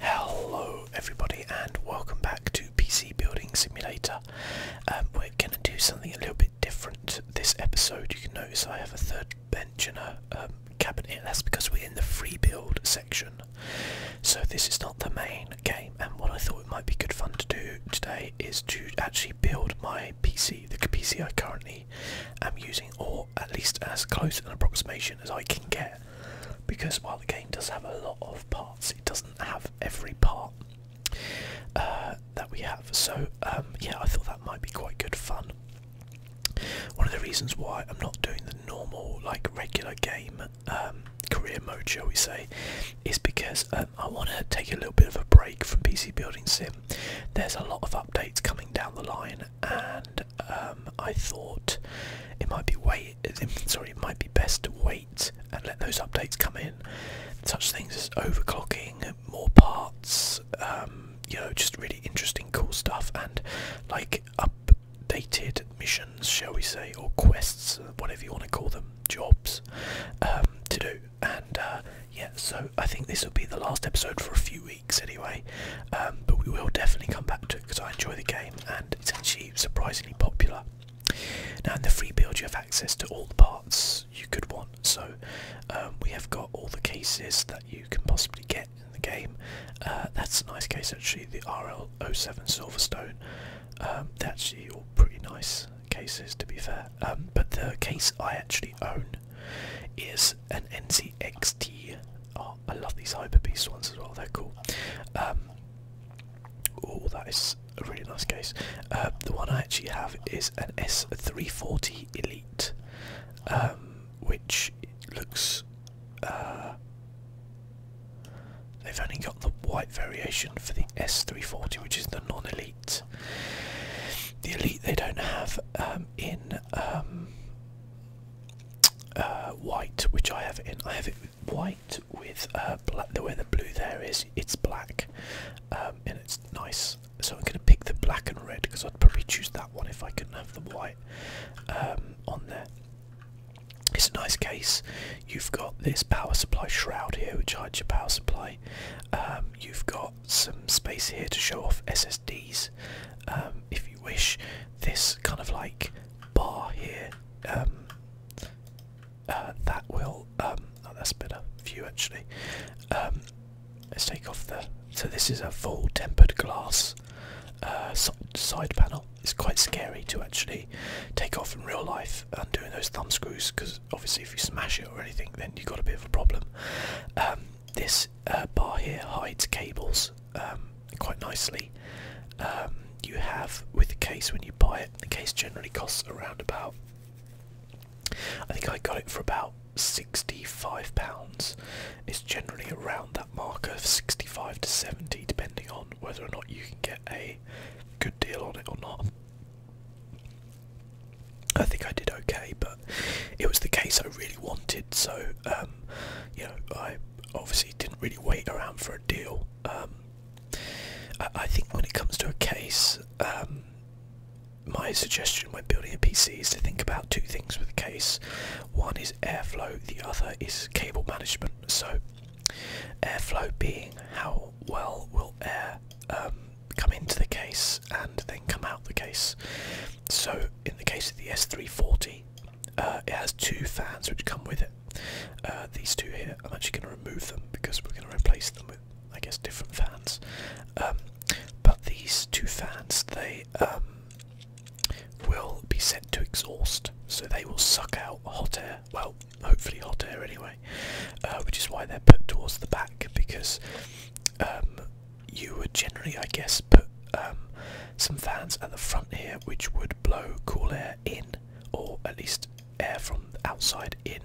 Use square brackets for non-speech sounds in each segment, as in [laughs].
Hello everybody and welcome back to PC Building Simulator. Um, we're going to do something a little bit different this episode. You can notice I have a third bench and a um, cabinet. That's because we're in the free build section. So this is not the main game and what I thought it might be good fun to do today is to actually build my PC, the PC I currently am using or at least as close an approximation as I can get because while the game does have a lot of parts, it doesn't have every part uh, that we have. So um, yeah, I thought that might be quite good fun. One of the reasons why I'm not doing the normal, like regular game um, career mode, shall we say, is because um, I want to take a little bit of a break from PC Building Sim. There's a lot of updates coming down the line, and um, I thought it might be wait. [laughs] Sorry, it might be best to wait and let those updates come in. Such things as overclocking, more parts, um, you know, just really interesting, cool stuff, and like updated missions, shall we say, or quests, whatever you want to call them, jobs um, to do. And uh, yeah, so I think this will be the last episode for a few weeks anyway, but we will definitely come back to it because I enjoy the game and it's actually surprisingly popular. Now in the free build you have access to all the parts you could want, so um, we have got all the cases that you can possibly get in the game. Uh, that's a nice case actually, the RL07 Silverstone. Um, that's your pretty nice cases to be fair, um, but the case I actually own is an NCXT I love these hyper beast ones as well. They're cool. Um, oh, that is a really nice case. Uh, the one I actually have is an S340 Elite, um, which looks. Uh, they've only got the white variation for the S340, which is the non-elite. The elite they don't have um, in. Uh, white, which I have in. I have it white with uh, black. The way the blue there is, it's black, um, and it's nice. So I'm going to pick the black and red because I'd probably choose that one if I couldn't have the white um, on there. It's a nice case. You've got this power supply shroud here, which hides your power supply. Um, you've got some space here to show off SSDs if you wish. This kind of like bar here um, uh, that will um, oh, that's a better view actually um, let's take off the so this is a full tempered glass uh, side panel it's quite scary to actually take off in real life undoing those thumb screws because obviously if you smash it or anything then you've got a bit of a problem this uh, bar here hides cables quite nicely. Um, you have with the case when you buy it. The case generally costs around about. I think I got it for about sixty-five pounds. It's generally around that marker, sixty-five to seventy, depending on whether or not you can get a good deal on it or not. I think I did okay, but it was the case I really wanted, so um, you know, I obviously didn't really wait around for a deal. Um, I, think when it comes to a case, um, my suggestion when building a PC is to think about two things with a case. One is airflow, the other is cable management. So, airflow being how well will air come into the case and then come out the case. So, in the case of the S340, uh, it has two fans which come with it. Uh, these two here, I'm actually going to remove them because we're going to replace them with, I guess, different fans. Um, but these two fans, they um, will be set to exhaust, so they will suck out hot air. Well, hopefully hot air anyway, uh, which is why they're put towards the back because um, you would generally, I guess, put um, some fans at the front here which would blow cool air in or at least air from outside in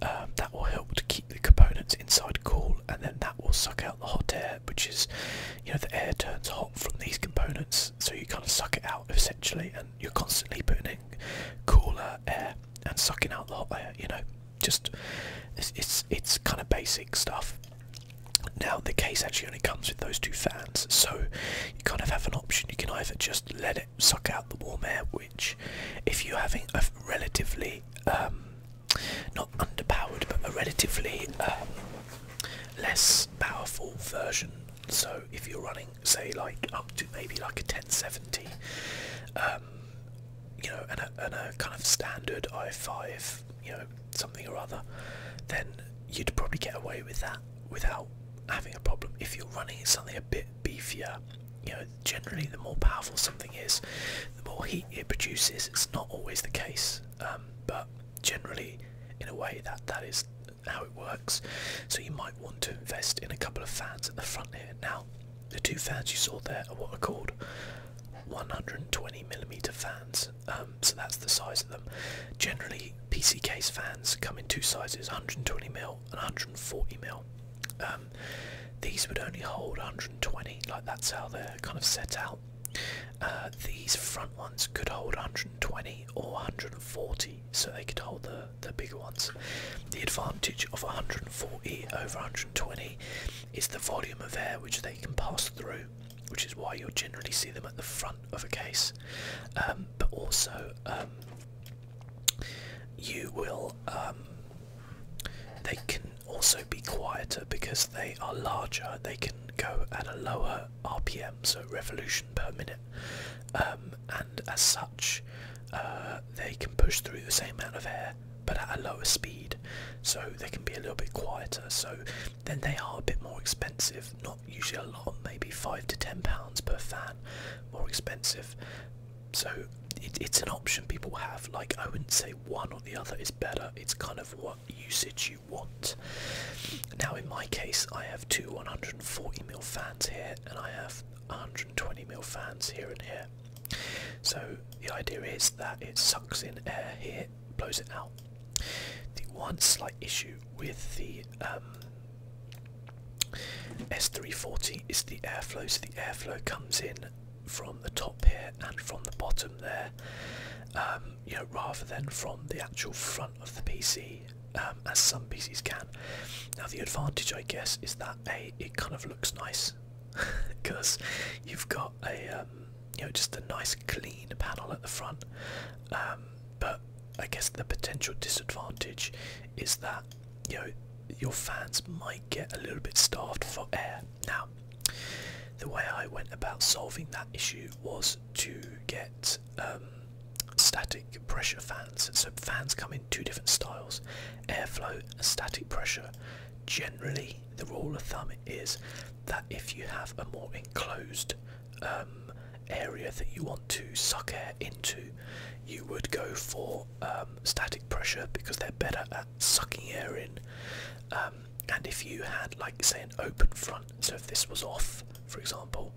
um, that will help to keep the components inside cool and then that will suck out the hot air which is you know the air turns hot from these components so you kind of suck it out essentially and you're constantly putting cooler air and sucking out the hot air you know just it's, it's kind of basic stuff now, the case actually only comes with those two fans, so you kind of have an option. You can either just let it suck out the warm air, which, if you're having a relatively, um, not underpowered, but a relatively um, less powerful version, so if you're running, say, like up to maybe like a 1070, um, you know, and a kind of standard i5 you know something or other, then you'd probably get away with that without having a problem. If you're running something a bit beefier, you know generally the more powerful something is, the more heat it produces. It's not always the case, um, but generally, in a way, that that is how it works. So you might want to invest in a couple of fans at the front here now. The two fans you saw there are what are called 120 millimeter fans. Um, so that's the size of them. Generally, PC case fans come in two sizes: 120 mil and 140 mil. Um, these would only hold 120. Like that's how they're kind of set out. Uh, these front ones could hold 120 or 140, so they could hold the the bigger ones. The advantage of 140 over 120 is the volume of air which they can pass through which is why you'll generally see them at the front of a case. Um, but also, um, you will. Um, they can also be quieter because they are larger. They can go at a lower RPM, so revolution per minute, and as such, uh, they can push through the same amount of air but at a lower speed, so they can be a little bit quieter. So then they are a bit more expensive. Not usually a lot, maybe five to ten pounds per fan more expensive. So it's an option people have. Like I wouldn't say one or the other is better. It's kind of what usage you want. Now in my case, I have two 140mm fans here, and I have 120mm fans here and here. So the idea is that it sucks in air here blows it out. The one slight issue with the um, S340 is the airflow. So the airflow comes in from the top here and from the bottom there, um, rather than from the actual front of the PC. Um, as some PCs can. Now the advantage, I guess, is that a it kind of looks nice because [laughs] you've got a you know just a nice clean panel at the front um, but I guess the potential disadvantage is that you know your fans might get a little bit starved for air now the way I went about solving that issue was to get um, static pressure fans so fans come in two different styles airflow and static pressure generally the rule of thumb is that if you have a more enclosed um, area that you want to suck air into, you would go for um, static pressure because they're better at sucking air in. Um, and if you had, like, say, an open front, so if this was off, for example,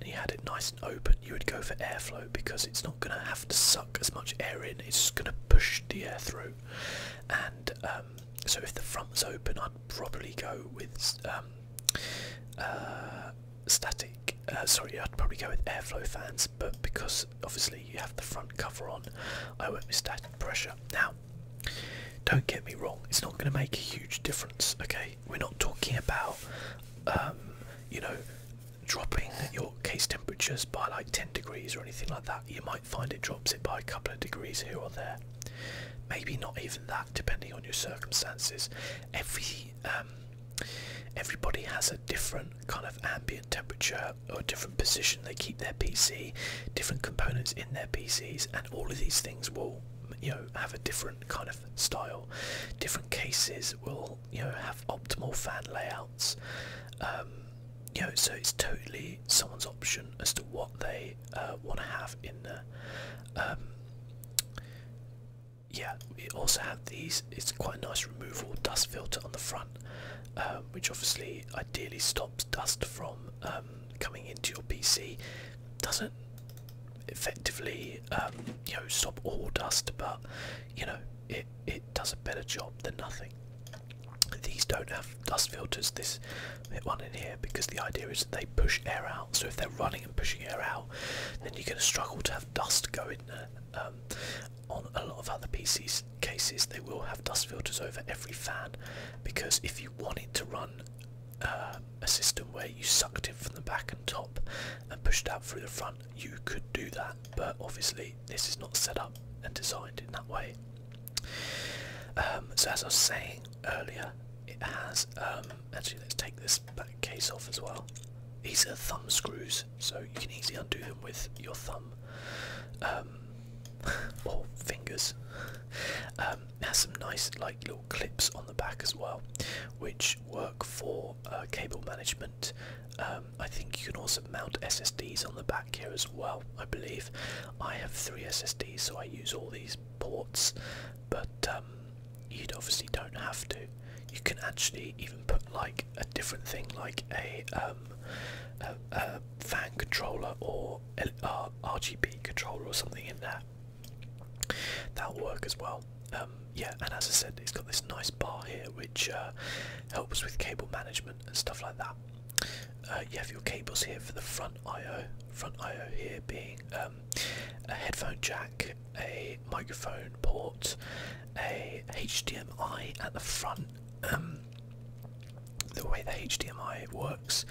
and you had it nice and open, you would go for airflow because it's not going to have to suck as much air in, it's just going to push the air through. And so if the front was open, I'd probably go with uh, static. Uh, sorry, I'd probably go with airflow fans, but because obviously you have the front cover on, I went with static pressure. Now, don't get me wrong, it's not going to make a huge difference. Okay, we're not talking about um, you know dropping your case temperatures by like 10 degrees or anything like that. You might find it drops it by a couple of degrees here or there. Maybe not even that, depending on your circumstances. Every um, everybody has a different kind of ambient temperature or different position they keep their PC, different components in their PCs, and all of these things will you know have a different kind of style. Different cases will you know have optimal fan layouts. Um, you know, so it's totally someone's option as to what they want to have in there. Um, yeah, it also had these. It's quite a nice removal dust filter on the front, um, which obviously ideally stops dust from um, coming into your PC. Doesn't effectively you know stop all dust, but you know it it does a better job than nothing. These don't have dust filters. This Hit one in here because the idea is that they push air out. So if they're running and pushing air out, then you're going to struggle to have dust go in there. Um, on a lot of other PCs cases, they will have dust filters over every fan because if you wanted to run uh, a system where you sucked in from the back and top and pushed out through the front, you could do that. But obviously, this is not set up and designed in that way. Um, so as I was saying earlier, it has um, actually let's take this back case off as well these are thumb screws so you can easily undo them with your thumb um, [laughs] or fingers um, it has some nice like little clips on the back as well which work for uh, cable management I think you can also mount SSDs on the back here as well I believe I have three SSDs so I use all these ports but um, you obviously don't have to. You can actually even put like a different thing, like a, um, a, fan controller or an uh, RGB controller or something in there. That'll work as well. Um, yeah, and as I said, it's got this nice bar here which uh, helps with cable management and stuff like that. Uh, you have your cables here for the front I/O, front I/O here being um, a headphone jack, a microphone port, a HDMI at the front. Um, the way the HDMI works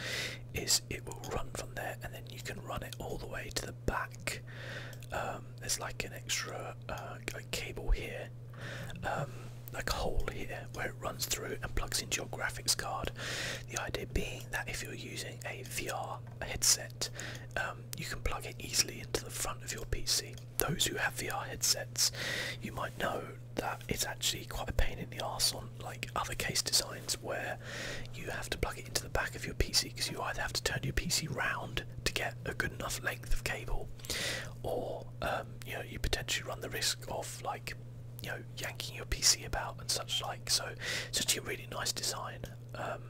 is it will run from there and then you can run it all the way to the back. Um, there's like an extra uh, cable here, like a hole here where it runs through and plugs into your graphics card. The idea being that if you're using a VR headset, um, you can plug it easily into the front of your PC. Those who have VR headsets, you might know that it's actually quite a pain in the arse on like other case designs where you have to plug it into the back of your PC because you either have to turn your PC round to get a good enough length of cable, or um, you know you potentially run the risk of like you know yanking your PC about and such like. So such a really nice design um,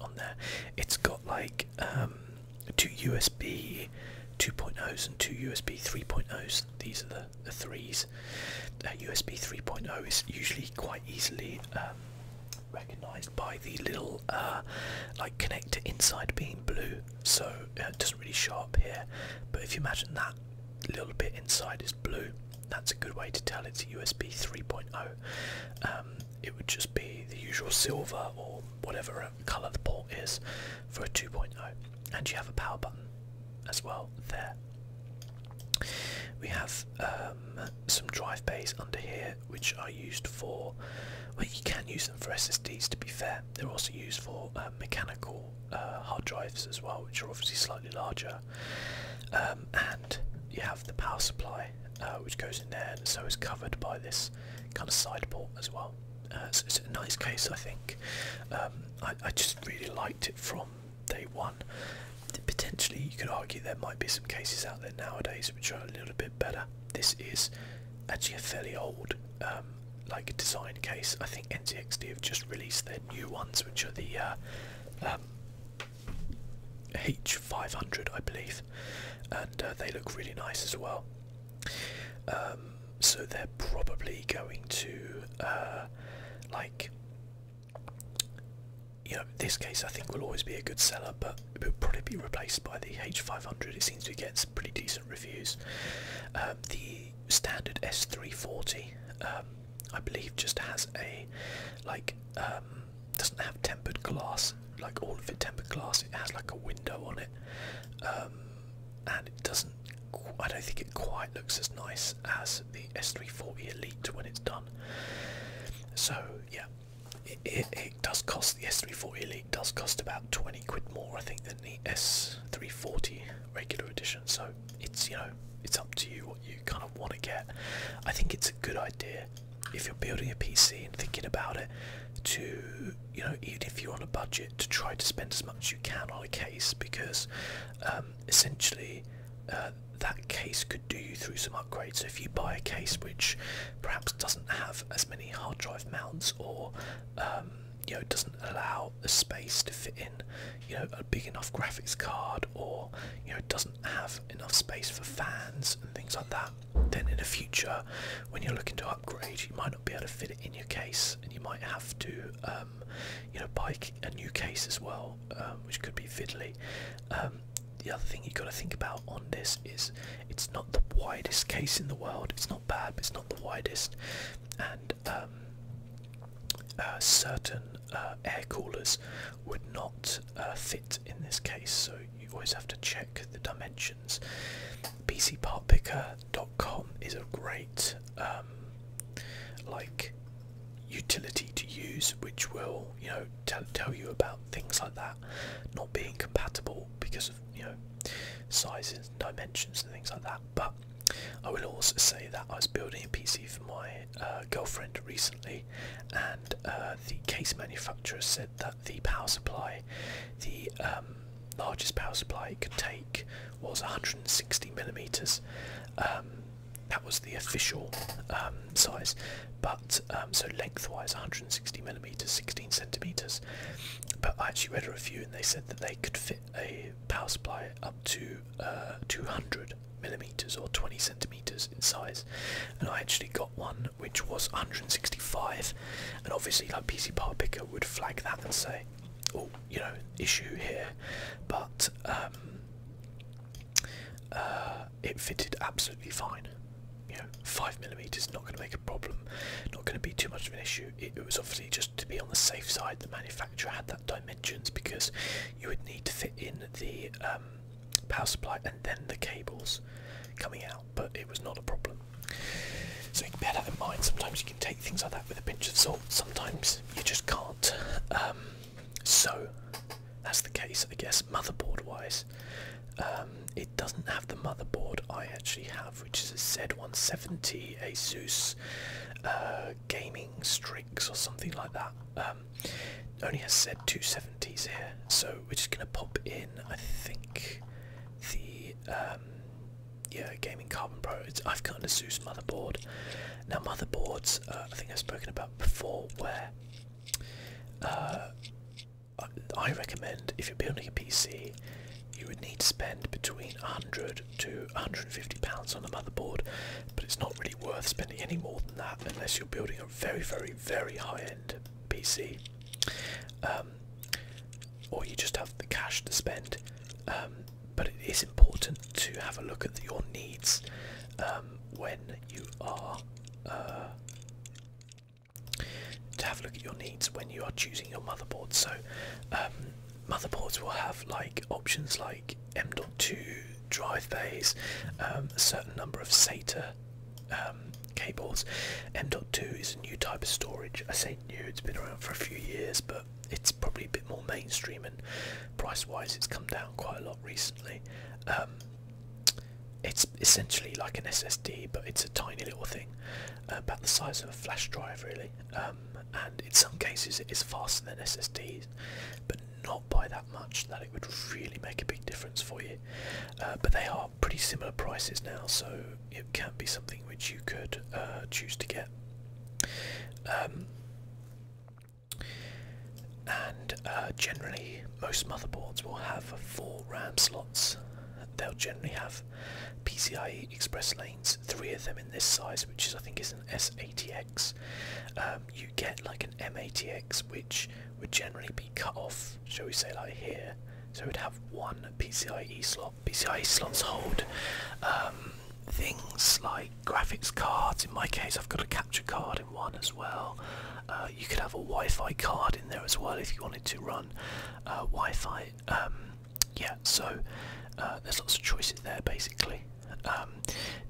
on there. It's got like um, two USB 2.0s and two USB 3.0s. These are the, the threes. USB uh, 3.0 is usually quite easily um, recognized by the little uh, like connector inside being blue, so uh, it doesn't really show up here. But if you imagine that little bit inside is blue, that's a good way to tell it's USB 3.0. Um, it would just be the usual silver or whatever colour the port is for a 2.0. And you have a power button as well there. We have um, some drive bays under here which are used for, well you can use them for SSDs to be fair. They're also used for uh, mechanical uh, hard drives as well which are obviously slightly larger um, and you have the power supply uh, which goes in there and so is covered by this kind of side port as well. Uh, so it's a nice case I think. Um, I, I just really liked it from day one. Potentially you could argue there might be some cases out there nowadays which are a little bit better. This is actually a fairly old um, like design case. I think NZXD have just released their new ones which are the uh, H500, I believe, and uh, they look really nice as well. Um, so they're probably going to uh, like you know this case I think will always be a good seller but it will probably be replaced by the H500 it seems to get some pretty decent reviews um, the standard S340 I believe just has a like um doesn't have tempered glass like all of it tempered glass it has like a window on it um and it doesn't I don't think it quite looks as nice as the S340 Elite when it's done so yeah it, it, it does cost the S340 Elite does cost about 20 quid more I think than the S340 regular edition so it's you know it's up to you what you kind of want to get. I think it's a good idea if you're building a PC and thinking about it to you know even if you're on a budget to try to spend as much as you can on a case because um, essentially uh, that case could do you through some upgrades. So if you buy a case which perhaps doesn't have as many hard drive mounts or um, you know doesn't allow a space to fit in you know big enough graphics card or you know doesn't have enough space for fans and things like that then in the future when you're looking to upgrade you might not be able to fit it in your case and you might have to um, you know buy a new case as well um, which could be fiddly um, the other thing you've got to think about on this is it's not the widest case in the world it's not bad but it's not the widest and uh, certain uh, air coolers would not uh, fit in this case, so you always have to check the dimensions. PC Part PCPartPicker.com is a great um, like utility to use, which will you know tell you about things like that not being compatible because of you know sizes and dimensions and things like that. But I will also say that I was building a PC for my uh, girlfriend recently, and uh, the case manufacturer said that the power supply, the um, largest power supply it could take, was 160 millimeters. Um, that was the official um, size, but so lengthwise 160 millimeters, 16 centimeters. But I actually read a review and they said that they could fit a power supply up to uh, 200 millimeters or 20 centimeters in size and I actually got one which was 165 and obviously like PC part picker would flag that and say oh you know issue here but um, uh, it fitted absolutely fine you know five millimeters not going to make a problem not going to be too much of an issue it, was obviously just to be on the safe side the manufacturer had that dimensions because you would need to fit in the um, power supply and then the cables coming out, but it was not a problem. So bear that in mind. Sometimes you can take things like that with a pinch of salt. Sometimes you just can't. Um, so that's the case, I guess. Motherboard-wise, um, it doesn't have the motherboard I actually have, which is a Z170 ASUS uh, Gaming Strix or something like that. Um, only has said 270s here, so we're just going to pop in, I think, the um, yeah, Gaming Carbon Pro. It's, I've got an Asus motherboard. Now, motherboards, uh, I think I've spoken about before, where uh, I recommend if you're building a PC, you would need to spend between 100 to hundred. £150 on a motherboard, but it's not really worth spending any more than that unless you're building a very, very, very high end PC. Um, or you just have the cash to spend. Um, but it is important to have a look at your needs um, when you are. Uh, to have a look at your needs when you are choosing your motherboard. So, motherboards will have like options like M.2 drive bays, um, a certain number of SATA um, cables. M.2 is a new type of storage. I say new, it's been around for a few years, but it's probably a bit more mainstream and price-wise it's come down quite a lot recently. Um, it's essentially like an SSD, but it's a tiny little thing, about the size of a flash drive really. Um, and in some cases it is faster than SSDs, but not not by that much that it would really make a big difference for you. Uh, but they are pretty similar prices now, so it can be something which you could uh, choose to get. Um, and uh, generally, most motherboards will have four RAM slots. They'll generally have PCIe Express lanes, three of them in this size, which is I think is an S80X get like an m MATX, which would generally be cut off, shall we say, like here. So we'd have one PCIe slot. PCIe slots hold um, things like graphics cards. In my case, I've got a capture card in one as well. Uh, you could have a Wi-Fi card in there as well if you wanted to run uh, Wi-Fi. Um, yeah, so uh, there's lots of choices there basically. Um,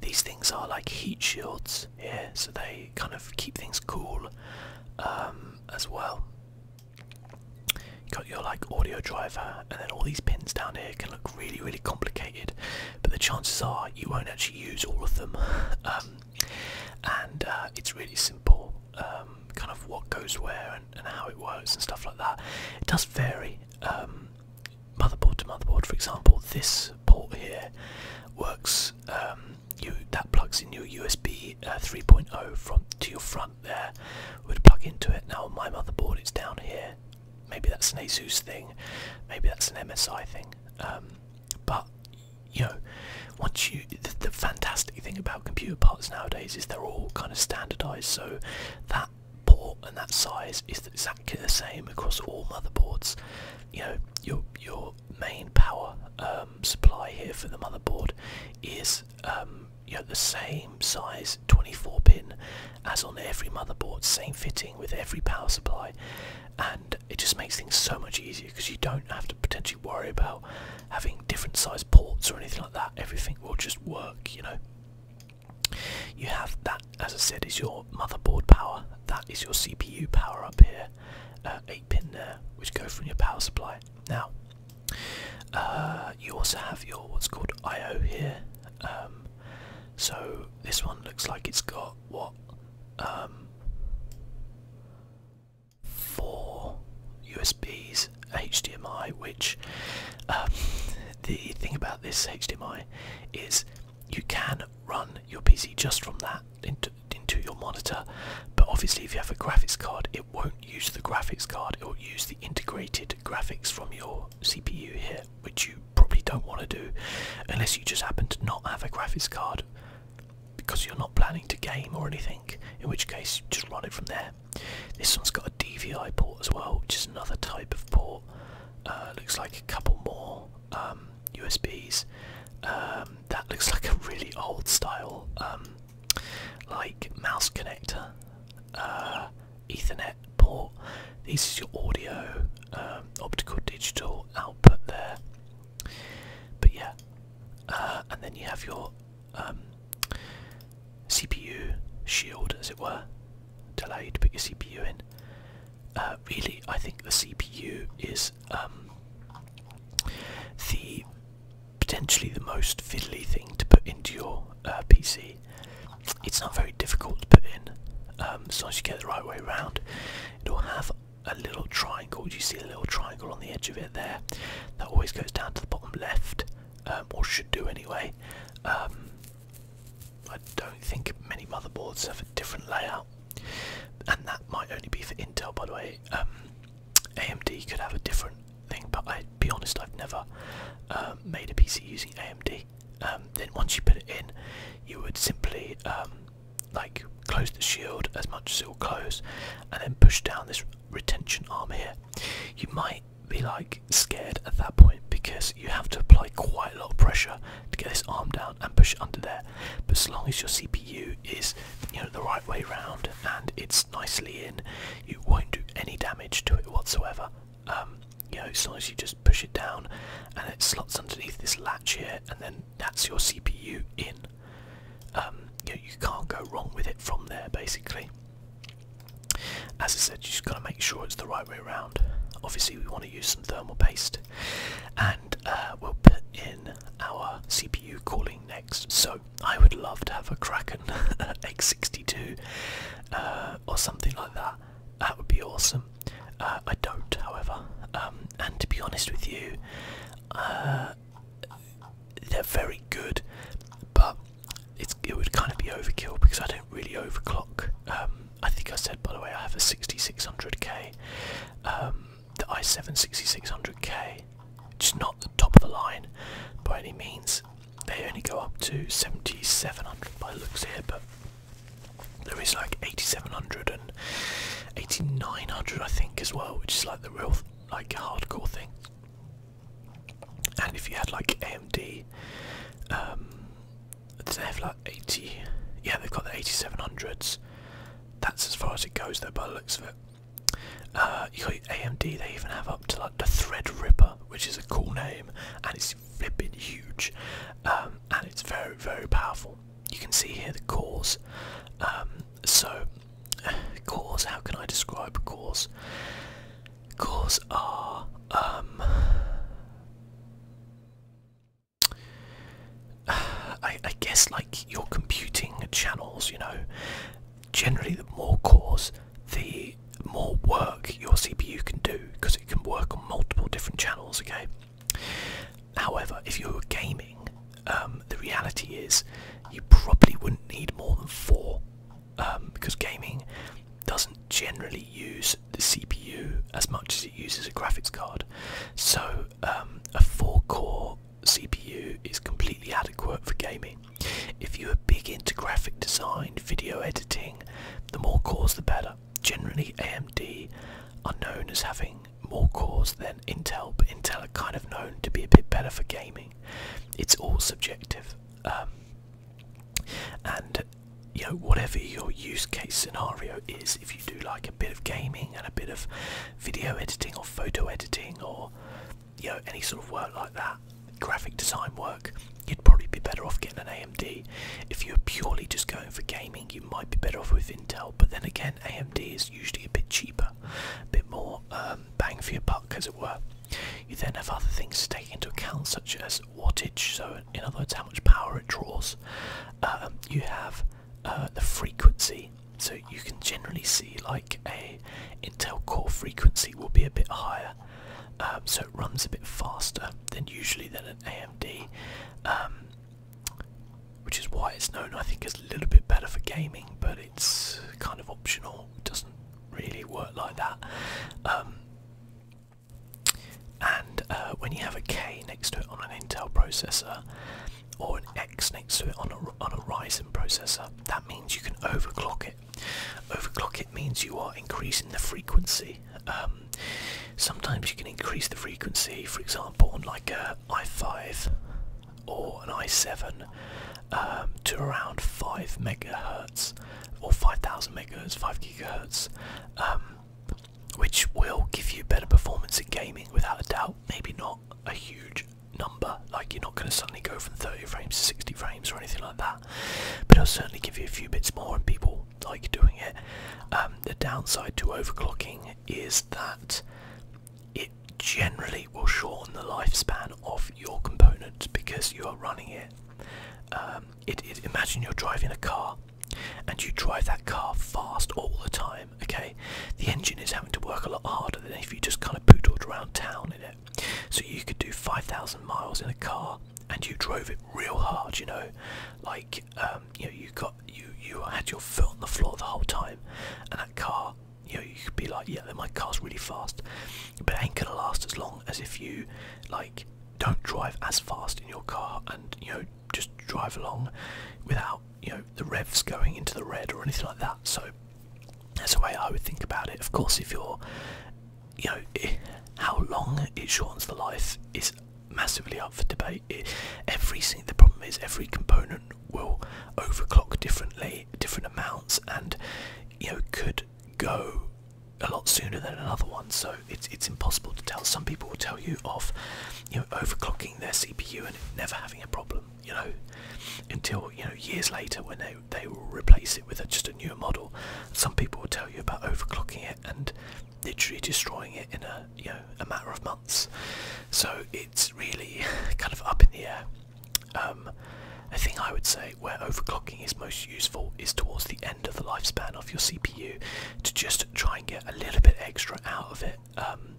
these things are like heat shields here, so they kind of keep things cool um, as well. got your like audio driver, and then all these pins down here can look really, really complicated, but the chances are you won't actually use all of them. [laughs] Um, and uh, it's really simple, kind of what goes where and, how it works and stuff like that. It does vary motherboard to motherboard. For example, this port here works. Um, you that plugs in your USB uh, 3.0 from to your front there. Would plug into it. Now on my motherboard, it's down here. Maybe that's an ASUS thing. Maybe that's an MSI thing. Um, but you know, once you the fantastic thing about computer parts nowadays is they're all kind of standardized. So that port and that size is exactly the same across all motherboards. You know, your your main power um, supply here for the motherboard is um, you know the same size 24 pin as on every motherboard, same fitting with every power supply, and it just makes things so much easier because you don't have to potentially worry about having different size ports or anything like that. Everything will just work, you know. You have that, as I said, is your motherboard power. That is your CPU power up here. Uh, eight pin there, which go from your power supply. Now, uh, you also have your what's called I/O here. Um, so this one looks like it's got what um, four USBs, HDMI. Which um, [laughs] the thing about this HDMI is you can run your PC just from that into, your monitor, but obviously, if you have a graphics card, it won't use the graphics card, it will use the integrated graphics from your CPU here, which you probably don't want to do unless you just happen to not have a graphics card because you're not planning to game or anything, in which case, just run it from there. This one's got a DVI port as well, which is another type of port. Uh, looks like a couple more USBs. Um, um, that looks [laughs] like a really old style, um, like mouse connector, uh, Ethernet port. This is your audio, optical, digital output there. But yeah, uh, and then you have your CPU shield, as it were, to allow you to put your CPU in. Uh, really I think the CPU is um, the potentially the most fiddly thing to put into your uh, PC. It's not very difficult to put in um, as long as you get the right way around. It'll have a little triangle. Do you see a little triangle on the edge of it there? That always goes down to the bottom left, um, or should do anyway. I don't think many motherboards have a different layout, and that might only be for Intel, by the way. Um, AMD could have a different thing, but I be honest, I've never uh, made a PC using AMD. Um, then once you put it in, you would simply um, like close the shield as much as it will close, and then push down this retention arm here. You might be like scared at that point because you have to apply quite a lot of pressure to get this arm down and push it under there. But as long as your CPU is you know the right way round and it's nicely in, you won't do any damage to it whatsoever. Um, you know, as long as you just push it down and it slots underneath this latch here, and then that's your CPU in. Um, you, can't go wrong with it from there, basically. As I said, you just got to make sure it's the right Obviously we want to use some thermal paste and uh, we'll put in our CPU cooling next. So I would love to have a Kraken [laughs] X62 uh, or something like that. That would be awesome. Uh, I don't, however. Um, and to be honest with you, they're very good, but it would kind of be overkill because I don't really overclock um, I think I said by the way I have a 6600K, um, the i7 6600K, just not the top of the line by any means. They only go up to 7700 by looks here, but there is like 8700 and 8900 I think as well, which is like the real like hardcore thing. And if you had like AMD um, they have like 80? Yeah, they've got the 8700s. That's as far as it goes there, by the looks of it. Uh, you got AMD, they even have up to like the Threadripper, which is a cool name, and it's flipping huge, um, and it's very, very powerful. You can see here the cores. Um, so, [sighs] cores, how can I describe cores? Cores are um, [sighs] I, guess like your computing channels, you know, generally the more cores, the more work your CPU can do because it can work on multiple different channels, okay? However, if you were gaming, um, the reality is you probably wouldn't need more than four because um, gaming doesn't generally use the CPU as much as it uses a graphics card. So um, a four-core CPU is completely adequate for gaming. If you are big into graphic design, video editing, the more cores the better. Generally AMD are known as having more cores than Intel, but Intel are kind of known to be a bit better for gaming. It's all subjective. Um, and you know whatever your use case scenario is if you do like a bit of gaming and a bit of video editing or photo editing or you know any sort of work like that graphic design work you'd probably be better off getting an AMD if you're purely just going for gaming you might be better off with Intel but then again AMD is usually a bit cheaper a bit more um, bang for your buck as it were you then have other things to take into account such as wattage so in, other words how much power it draws um, you have uh, the frequency so you can generally see like a intel core frequency will be a bit higher um, so it runs a bit faster than usually than an amd um, which is why it's known i think as a little bit better for gaming but it's kind of optional doesn't really work like that and uh, when you have a K next to it on an Intel processor, or an X next to it on a, on a Ryzen processor, that means you can overclock it. Overclock it means you are increasing the frequency. Um, sometimes you can increase the frequency, for example, on like a i5 or an i7 um, to around 5 megahertz or 5000 megahertz, 5 gigahertz. Um, which will give you better performance in gaming without a doubt. Maybe not a huge number, like you're not going to suddenly go from 30 frames to 60 frames or anything like that, but it'll certainly give you a few bits more, and people like doing it. Um, the downside to overclocking is that it generally will shorten the lifespan of your component because you are running it. Um, it imagine you're driving a car and you drive that car fast all the time, okay, the engine is having to work a lot harder than if you just kind of poodled around town in it. So you could do 5,000 miles in a car and you drove it real hard, you know, like um, you know you got you you had your foot on the floor the whole time, and that car. You know, you could be like, yeah, my car's really fast, but it ain't gonna last as long as if you, like, don't drive as fast in your car and you know just drive along without you know the revs going into the red or anything like that. So that's the way I would think about it. Of course, if you're you know eh, how long it shortens the life is massively up for debate. It, every the problem is every component will overclock differently, different amounts, and you know could go a lot sooner than another one, so it's it's impossible to tell. Some people will tell you of, you know, overclocking their CPU and never having a problem, you know, until you know years later when they they will replace it with just a newer model. Some people will tell you about overclocking it and literally destroying it in a you know a matter of months. So it's really [laughs] kind of up in the air. Um, the thing I would say where overclocking is most useful is towards the end of the lifespan of your CPU to just try and get a little bit extra out of it um,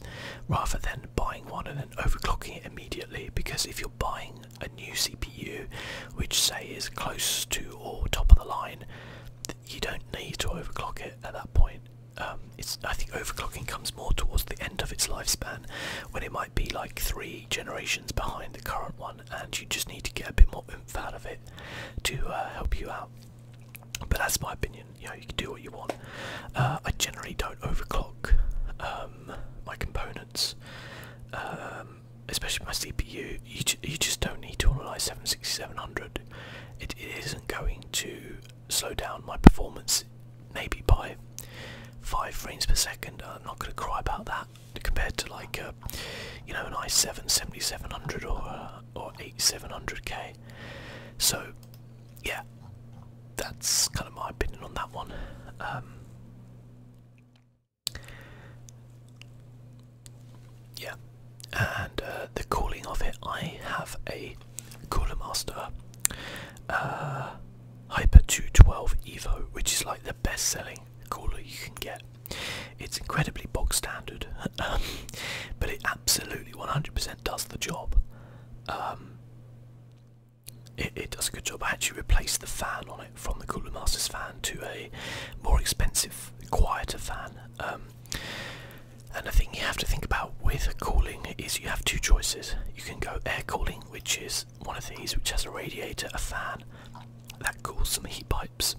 rather than buying one and then overclocking it immediately. Because if you're buying a new CPU, which say is close to or top of the line, you don't need to overclock it at that point. Um, it's I think overclocking comes more towards the end of its lifespan, when it might be like three generations behind the current one, and you just need to get a bit more oomph out of it to uh, help you out. But that's my opinion. You know, you can do what you want. Uh, I generally don't overclock um, my components, um, especially my CPU. You you just don't need to on an i it isn't going to slow down my performance. Maybe by five frames per second. I'm not going to cry about that compared to like you know an i7 7700 or. A, or 8700k. So, yeah, that's kind of my opinion on that one. Um, yeah, and uh, the cooling of it, I have a Cooler Master uh, Hyper 212 Evo, which is like the best selling cooler you can get. It's incredibly bog standard, [laughs] but it absolutely 100% does the job. Um, it, does a good job. I actually replaced the fan on it from the Cooler Masters fan to a more expensive, quieter fan. Um, and the thing you have to think about with cooling is you have two choices. You can go air cooling, which is one of these, which has a radiator, a fan that cools some heat pipes,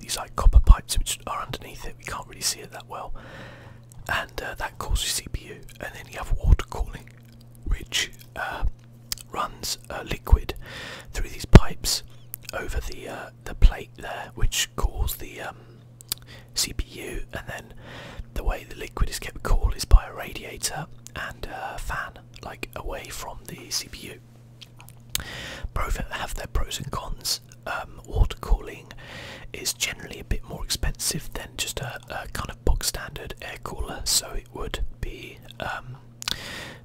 these like copper pipes which are underneath it. We can't really see it that well, and uh, that causes CPU. And then you have water cooling, which uh, runs uh, liquid through these pipes over the uh, the plate there, which cools the um, CPU. And then the way the liquid is kept cool is by a radiator and a fan, like away from the CPU. Both have their pros and cons. Um, water cooling is generally a bit more expensive than just a, kind of box standard air cooler, so it would be. Um,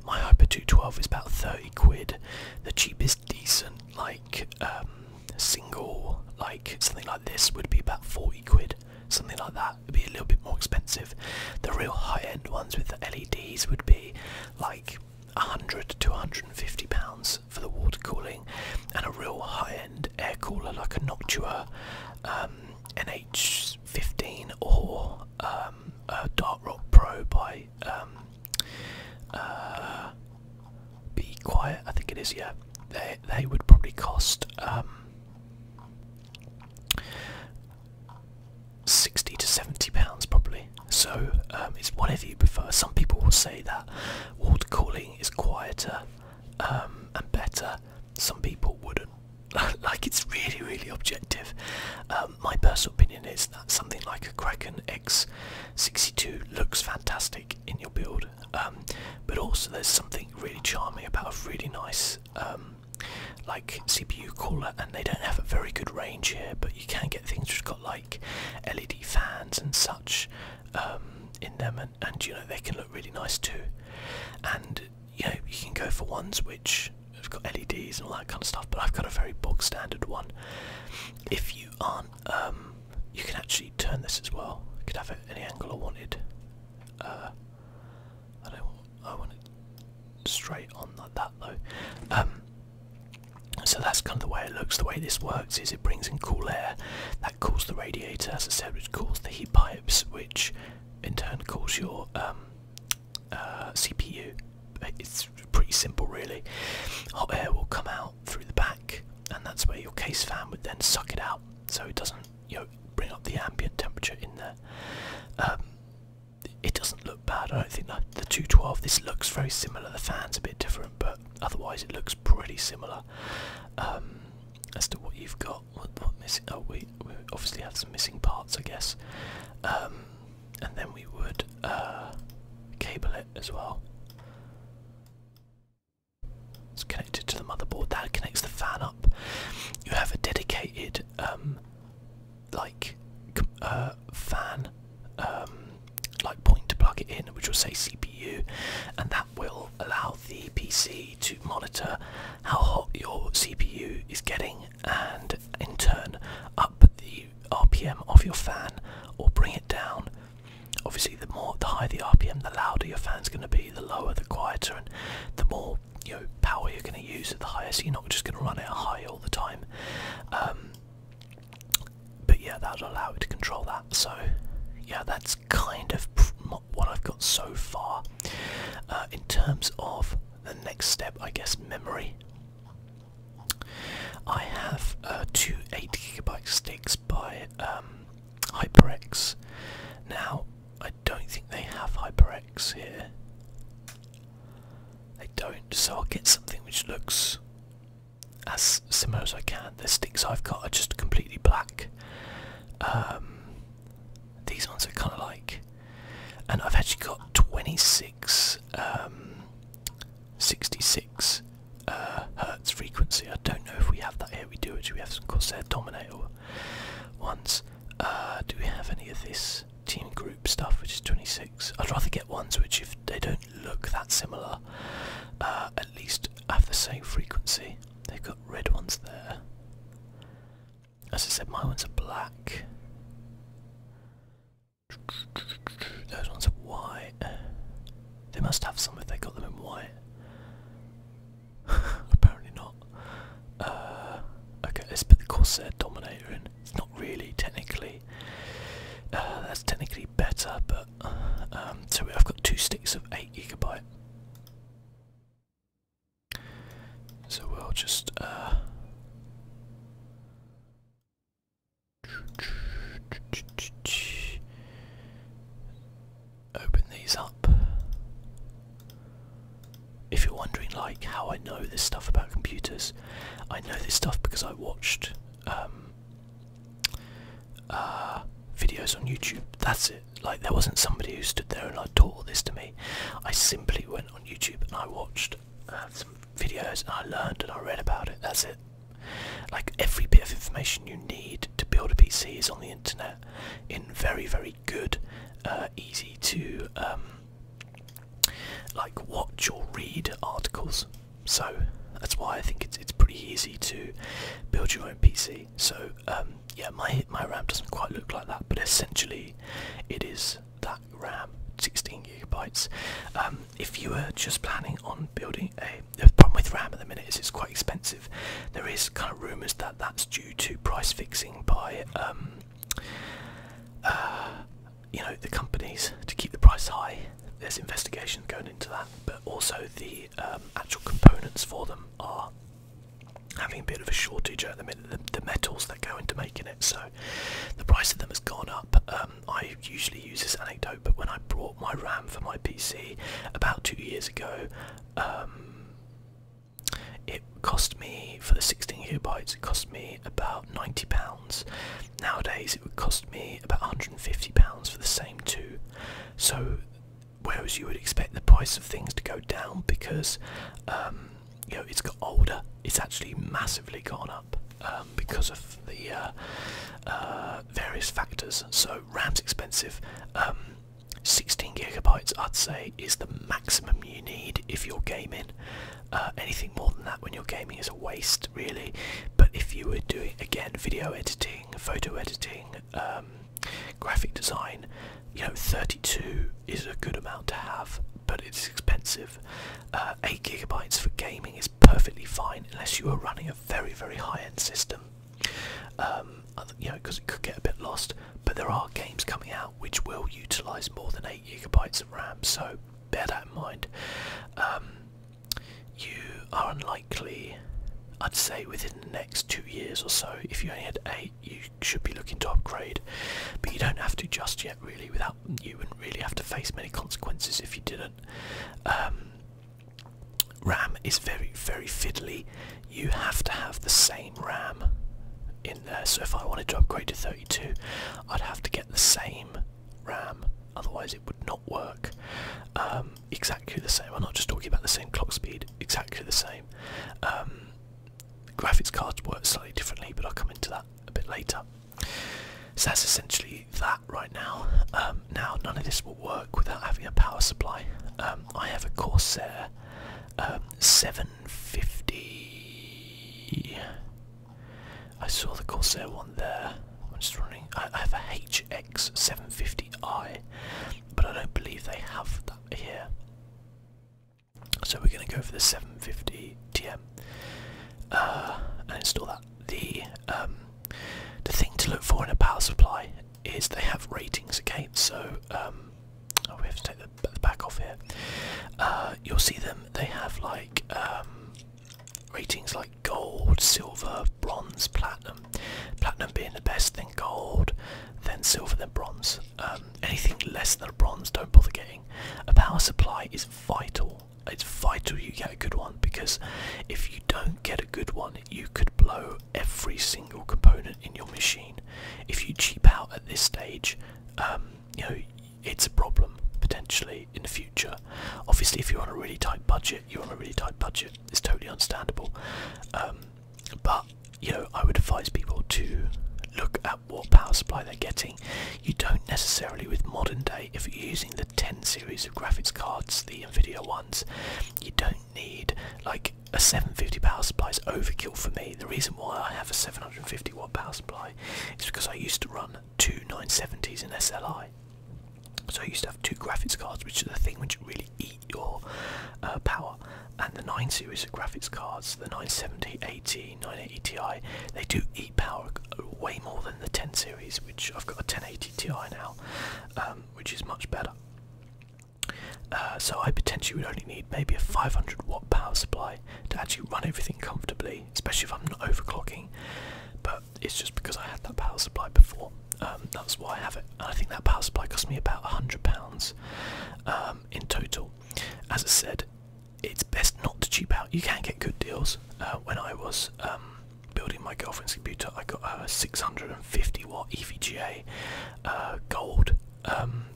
my Hyper 212 is about 30 quid. The cheapest decent, like um, single, like something like this, would be about 40 quid. Something like that would be a little bit more expensive. The real high end ones with the LEDs would be like 100 to 150 pounds for the water cooling, and a real high-end air cooler like a Noctua um, NH15 or um, a Dark Rock Pro by um, uh, Be Quiet, I think it is. Yeah, they they would probably cost. 60 to 70 pounds probably. So um, it's whatever you prefer. Some people will say that water cooling is quieter um, and better. Some people wouldn't. [laughs] like it's really, really objective. Um, my personal opinion is that something like a Kraken X62 looks fantastic in your build, but also there's something really charming about a really nice, like CPU cooler and they don't have a very good range here but you can get things which got like LED fans and such um, in them and, you know they can look really nice too and you know you can go for ones which have got LEDs and all that kind of stuff but I've got a very bog standard one if you aren't um, you can actually turn this as well I could have it any angle I wanted uh, I don't I want it straight on like that though um, so that's kind of the way it looks. The way this works is it brings in cool air that cools the radiator, as I said, which cools the heat pipes, which in turn cools your um, uh, CPU. It's pretty simple, really. Hot air will come out through the back, and that's where your case fan would then suck it out, so it doesn't, you know, bring up the ambient temperature in there. Um, it doesn't look bad. I don't think the 212. This looks very similar. The fan's a bit different, but otherwise it looks pretty similar um, as to what you've got. What, missing? Oh, we we obviously have some missing parts, I guess. Um, and then we would uh, cable it as well. It's connected to the motherboard. That connects the fan up. You have a dedicated um, like uh, fan um, like point to plug it in, which will say CPU, and that will allow the PC to monitor how hot your CPU is getting, and in turn up the RPM of your fan or bring it down. Obviously, the more the higher the RPM, the louder your fan's going to be, the lower, the quieter, and the more you know power you're going to use at the higher. So you're not just going to run it high all the time. Um, but yeah, that'll allow it to control that. So yeah, that's kind of what I've got so far. Uh, in terms of the next step, I guess memory. I have uh, two 8GB sticks by um, HyperX. Now, I don't think they have HyperX here. They don't, so I'll get something which looks as similar as I can. The sticks I've got are just completely black. Um, these ones are kind of like, and I've actually got 26, um, uh, hertz frequency. I don't know if we have that here. We do actually. We have some Corsair Dominator ones. Uh, do we have any of this? team group stuff, which is 26. I'd rather get ones which, if they don't look that similar, uh, at least have the same frequency. They've got red ones there. As I said, my ones are black. Those ones are white. They must have some if they got them in white. [laughs] Apparently not. Uh, okay, let's put the Corsair Dominator in really technically. Uh, that's technically better, but um, so I've got two sticks of eight gigabyte. So we'll just. Uh, open these up. If you're wondering, like, how I know this stuff about computers, I know this stuff because I watched um, uh, videos on YouTube. That's it. Like there wasn't somebody who stood there and I taught all this to me. I simply went on YouTube and I watched uh, some videos and I learned and I read about it. That's it. Like every bit of information you need to build a PC is on the internet in very very good, uh, easy to um, like watch or read articles. So that's why I think it's it's pretty easy to build your own PC. So um, yeah, my my RAM doesn't quite look like that, but essentially it is that RAM, 16 gigabytes. Um, if you were just planning on building a, the problem with RAM at the minute is it's quite expensive. There is kind of rumours that that's due to price fixing by um, uh, you know the companies to keep the price high. There's investigation going into that, but also the um, actual components for them are having a bit of a shortage at the minute. The, metals that go into making it, so the price of them has gone up. Um, I usually use this anecdote, but when I bought my RAM for my PC about two years ago. Um, it cost me for the 16 gigabytes. It cost me about 90 pounds Nowadays, it would cost me about 150 pounds for the same two. So, whereas you would expect the price of things to go down because um, you know it's got older, it's actually massively gone up um, because of the uh, uh, various factors. So, RAM's expensive. Um, 16 gigabytes, I'd say, is the maximum you need if you're gaming. Uh, anything more than that when you're gaming is a waste, really. But if you were doing again video editing, photo editing, um, graphic design, you know, 32 is a good amount to have, but it's expensive. Uh, 8 gigabytes for gaming is perfectly fine unless you are running a very, very high end system. Um, you know, because it could get a bit lost, but there are games coming out which will utilize more than 8 gigabytes of RAM, so bear that in mind. Um, you are unlikely, I'd say, within the next two years or so, if you only had eight, you should be looking to upgrade. But you don't have to just yet, really, without you wouldn't really have to face many consequences if you didn't. Um, RAM is very, very fiddly. You have to have the same RAM in there. So if I wanted to upgrade to 32, I'd have to get the same RAM, otherwise it would not work. Um, exactly the same. I'm not just talking about the same clock speed. Exactly the same. Um, graphics cards work slightly differently, but I'll come into that a bit later. So that's essentially that right now. Um, now none of this will work without having a power supply. I have a Corsair 750 I saw the Corsair one there. I'm just running. I, have a HX750i, but I don't believe they have that here. So we're going to go for the 750 TM uh, and install that. The um, the thing to look for in a power supply is they have ratings. Okay, so um, oh, we have to take the, back off here. Uh, you'll see them um, they have like um, ratings like gold, silver, bronze, platinum. Platinum being the best, then gold, then silver, then bronze. Um, anything less than a bronze, don't bother getting. A power supply is vital. It's vital you get a good one because if you don't get a good one, you could blow every single component in your machine. If you cheap out at this stage, you know it's a problem potentially in the future. Obviously, if you're on a really tight budget, you're on a really tight budget. It's totally understandable. Um, but you know, I would advise people to look at what power supply they're getting. You don't necessarily with modern day, if you're using the 10 series of graphics cards, the Nvidia ones, you don't need like a 750 power supply is overkill for me. The reason why I have a 750 watt power supply is because I used to run two 970s in SLI. So I used to have two graphics cards, which is the thing which really eat your uh, power. And the 9 series of graphics cards, the 970, 80, 980 Ti, they do eat power way more than the 10 series, which I've got a 1080 Ti now, um, which is much better. Uh, so I potentially would only need maybe a 500 watt power supply to actually run everything comfortably, especially if I'm not overclocking. But it's just because I had that power supply before. Um, that's why I have it. I think that power supply cost me about £100 um, in total. As I said, it's best not to cheap out. You can get good deals. Uh, when I was um, building my girlfriend's computer, I got a 650 uh, watt EVGA gold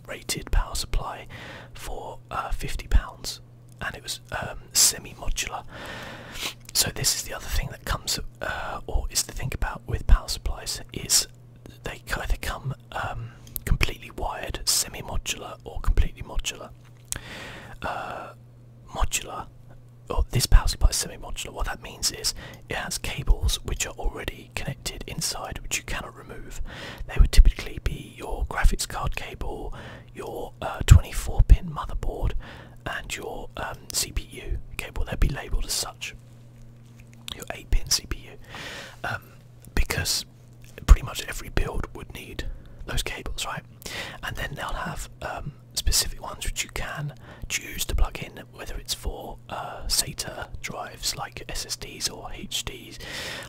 rated power supply for uh, £50 and it was um, semi-modular. So this is the other thing that comes, uh, or is to think about with power supplies, is they either come um, completely wired, semi-modular, or completely modular. Uh, modular, this power supply is semi-modular. What that means is it has cables which are already connected inside, which you cannot remove. They would typically be your graphics card cable, your uh, 24 pin motherboard and your um, CPU. cable they'll be labeled as such. Your 8 pin CPU. Um, because pretty much every build would need those cables, right? And then they'll have um, specific ones which you can choose to plug in, whether it's for uh, SATA drives like SSDs or HD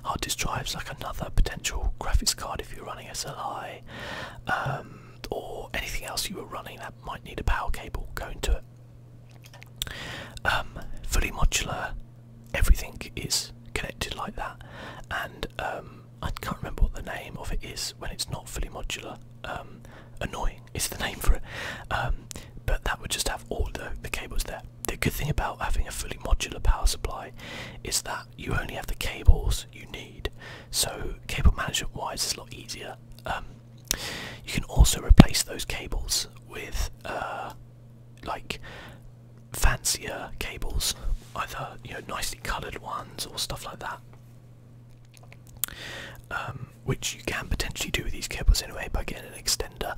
hard disk drives, like another potential graphics card if you're running SLI, um, or anything else you were running that might need a power cable going to it. Um, fully modular, everything is connected like that, and um, I can't remember what the name of it is when it's not fully modular. annoying is the [laughs] name for it, but that would just have all the cables there. The good thing about having a fully modular power supply is that you only have the cables you need. So cable management wise is a lot easier. Um, you can also replace those cables with uh, like fancier cables, either you know nicely coloured ones or stuff like that. Um, which you can potentially do with these cables anyway by getting an extender.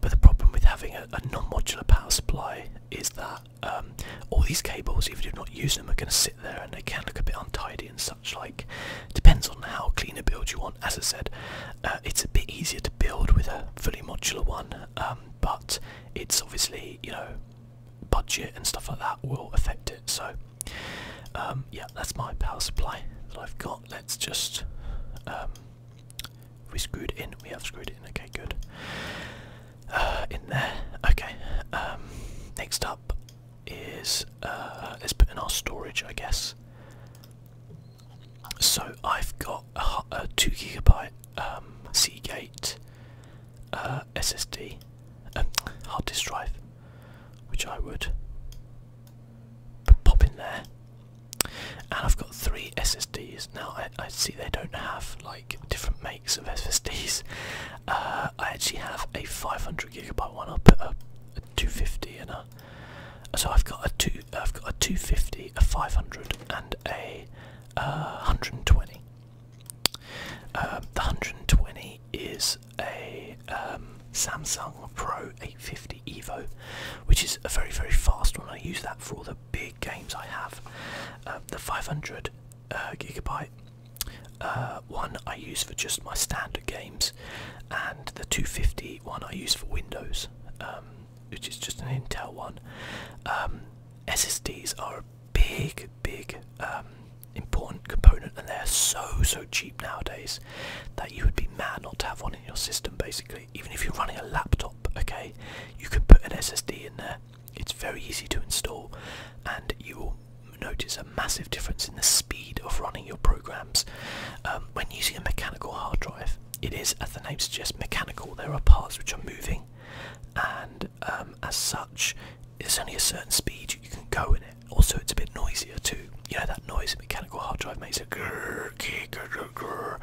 But the problem with having a non-modular power supply is that um, all these cables, even if you do not use them, are going to sit there and they can look a bit untidy and such like. Depends on how clean a build you want. As I said, uh, it's a bit easier to build with a fully modular one, um, but it's obviously, you know, budget and stuff like that will affect it. So, um, yeah, that's my power supply that I've got. Let's just we screwed in? We have screwed in. Okay, good. Uh, in there. Okay. Um, next up is let's uh, put in our storage, I guess. So I've got a, two gigabyte um, Seagate uh, SSD, um, hard disk drive, which I would pop in there, and I've got three S SSDs. Now I, see they don't have like different makes of SSDs. Uh, I actually have a 500 gigabyte one. I'll put up a 250 and a so I've got a two. I've got a 250, a 500, and a uh, 120. Um, the 120 is a um, Samsung Pro 850 Evo, which is a very very fast one. I use that for all the big games I have. Um, the 500 uh, gigabyte uh, one I use for just my standard games, and the 250 one I use for Windows, um, which is just an Intel one. Um, SSDs are a big, big important component, and they're so so cheap nowadays that you would be mad not to have one in your system. Basically, even if you're running a laptop, okay, you could put an SSD in there it's very easy to install, and you will notice a massive difference in the speed of running your programs. Um, when using a mechanical hard drive, it is, as the name suggests, mechanical. There are parts which are moving, and um, as such, there's only a certain speed you can go in it. Also, it's a bit noisier too. You know that noise a mechanical hard drive makes a grrr, grrr, grrr, grrr.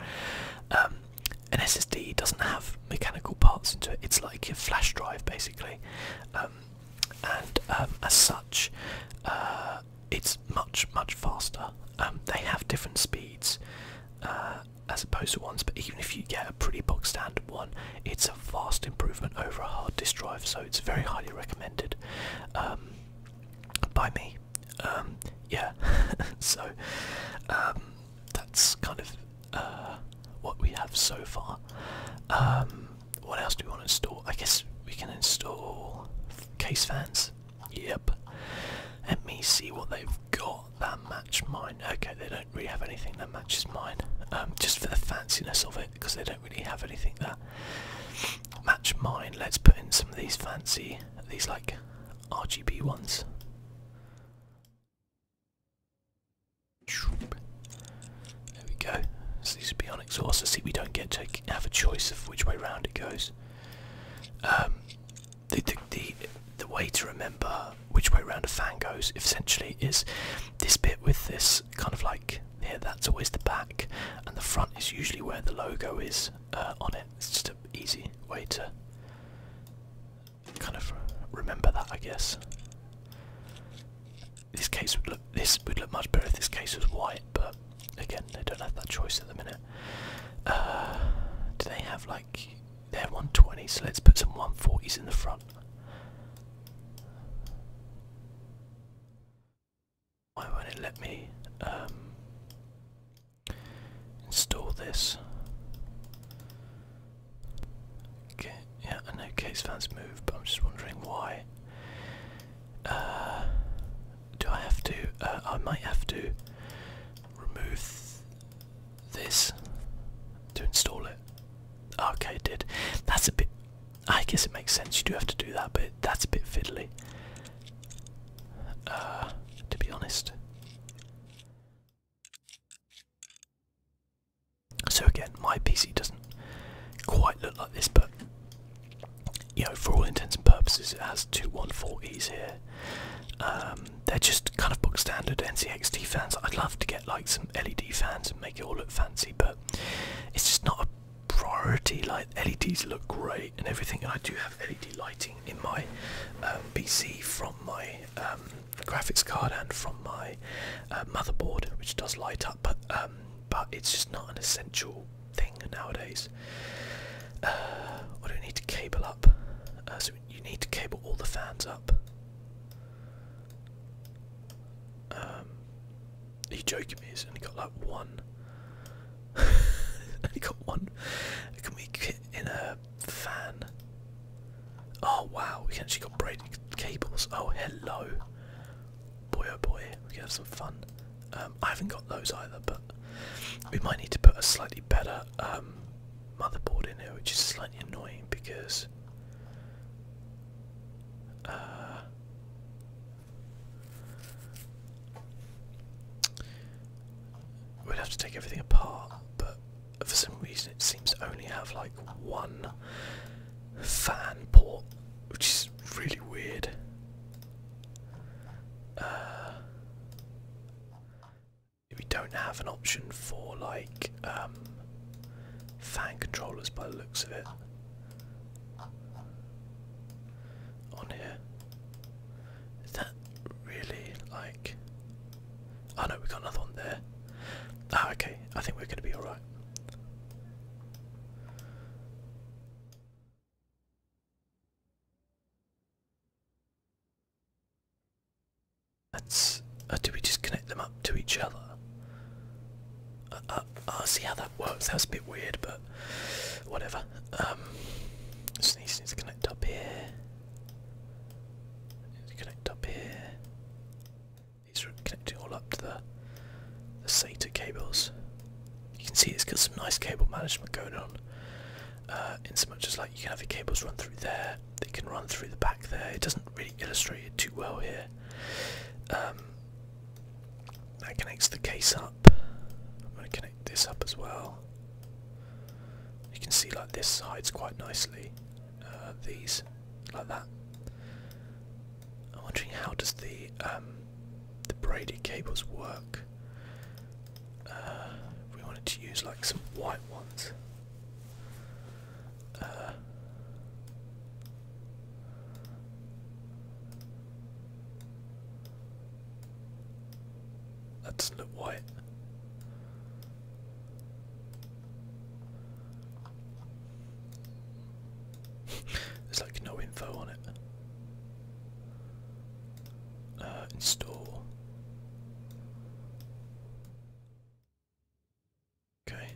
Um, an SSD doesn't have mechanical parts into it. It's like a flash drive basically, um, and um, as such, uh, it's much much faster. Um, they have different speeds uh, as opposed to ones, but even if you get a pretty bog standard one, it's a vast improvement over a hard disk drive. So it's very highly recommended by me. yeah, [laughs] so that's kind of uh, what we have so far. Um, what else do we want to install? I guess we can install case fans. Yep. Let me see what they've got that match mine. Okay, they don't really have anything that matches mine. Um, just for the fanciness of it, because they don't really have anything that match mine. Let's put in some of these fancy, these like RGB ones. There we go. So these would be on exhaust. I see we don't get to have a choice of which way round it goes. Um, the, the, the, the way to remember which way round a fan goes essentially is this bit with this kind of like here that's always the back and the front is usually where the logo is uh, on it. It's just an easy way to kind of remember that, I guess. This case would look this would look much better if this case was white, but again, they don't have that choice at the minute. Uh, do they have like they have 120? So let's put some 140s in the front. Why won't it let me? Um, Install this. Okay, yeah, I know case fans move, but I'm just wondering why. Uh, do I have to? Uh, I might have to remove this to install it. Ah, okay, it did. That's a bit. I guess it makes sense. You do have to do that, but that's a bit fiddly. Uh, to be honest. So again, my PC doesn't quite look like this, but you know, for all intents and purposes, it has two 140s here. Um, they're just kind of box standard NCXT fans. I'd love to get like some LED fans and make it all look fancy, but it's just not a priority. Like LEDs look great and everything, I do have LED lighting in my um, PC from my um, graphics card and from my uh, motherboard, which does light up, but, um, but it's just not an essential thing nowadays. Uh, what do we need to cable up? Uh, so you need to cable all the fans up. Um, are you joking me? He's only got like one. [laughs] only got one. Can we in a fan. Oh wow, we actually got braided cables. Oh hello. Boy oh boy, we can have some fun. Um, I haven't got those either, but we might need to put a slightly better um, motherboard in here, which is slightly annoying because uh, we'd have to take everything apart, but for some reason it seems to only have like one fan port, which is really weird. Uh, we don't have an option for like um, fan controllers by the looks of it on here. Is that really like Oh no, we got another one there. Ah, okay. I think we're going to be alright. That's. Uh, do we just connect them up to each other? I uh, uh, uh, see how that works. That's a bit weird, but whatever. Um, just connect up here. Connect up here. These are connecting all up to the, SATA cables. You can see it's got some nice cable management going on. Uh, in so much as like you can have the cables run through there, they can run through the back there. It doesn't really illustrate it too well here. Um, that connects the case up. I'm going to connect this up as well. You can see like this hides quite nicely. Uh, these, like that. I'm wondering how does the um, the braided cables work. Uh, we wanted to use like some white ones. Uh, that not look white. [laughs] There's like no info on it. Uh, install. Okay.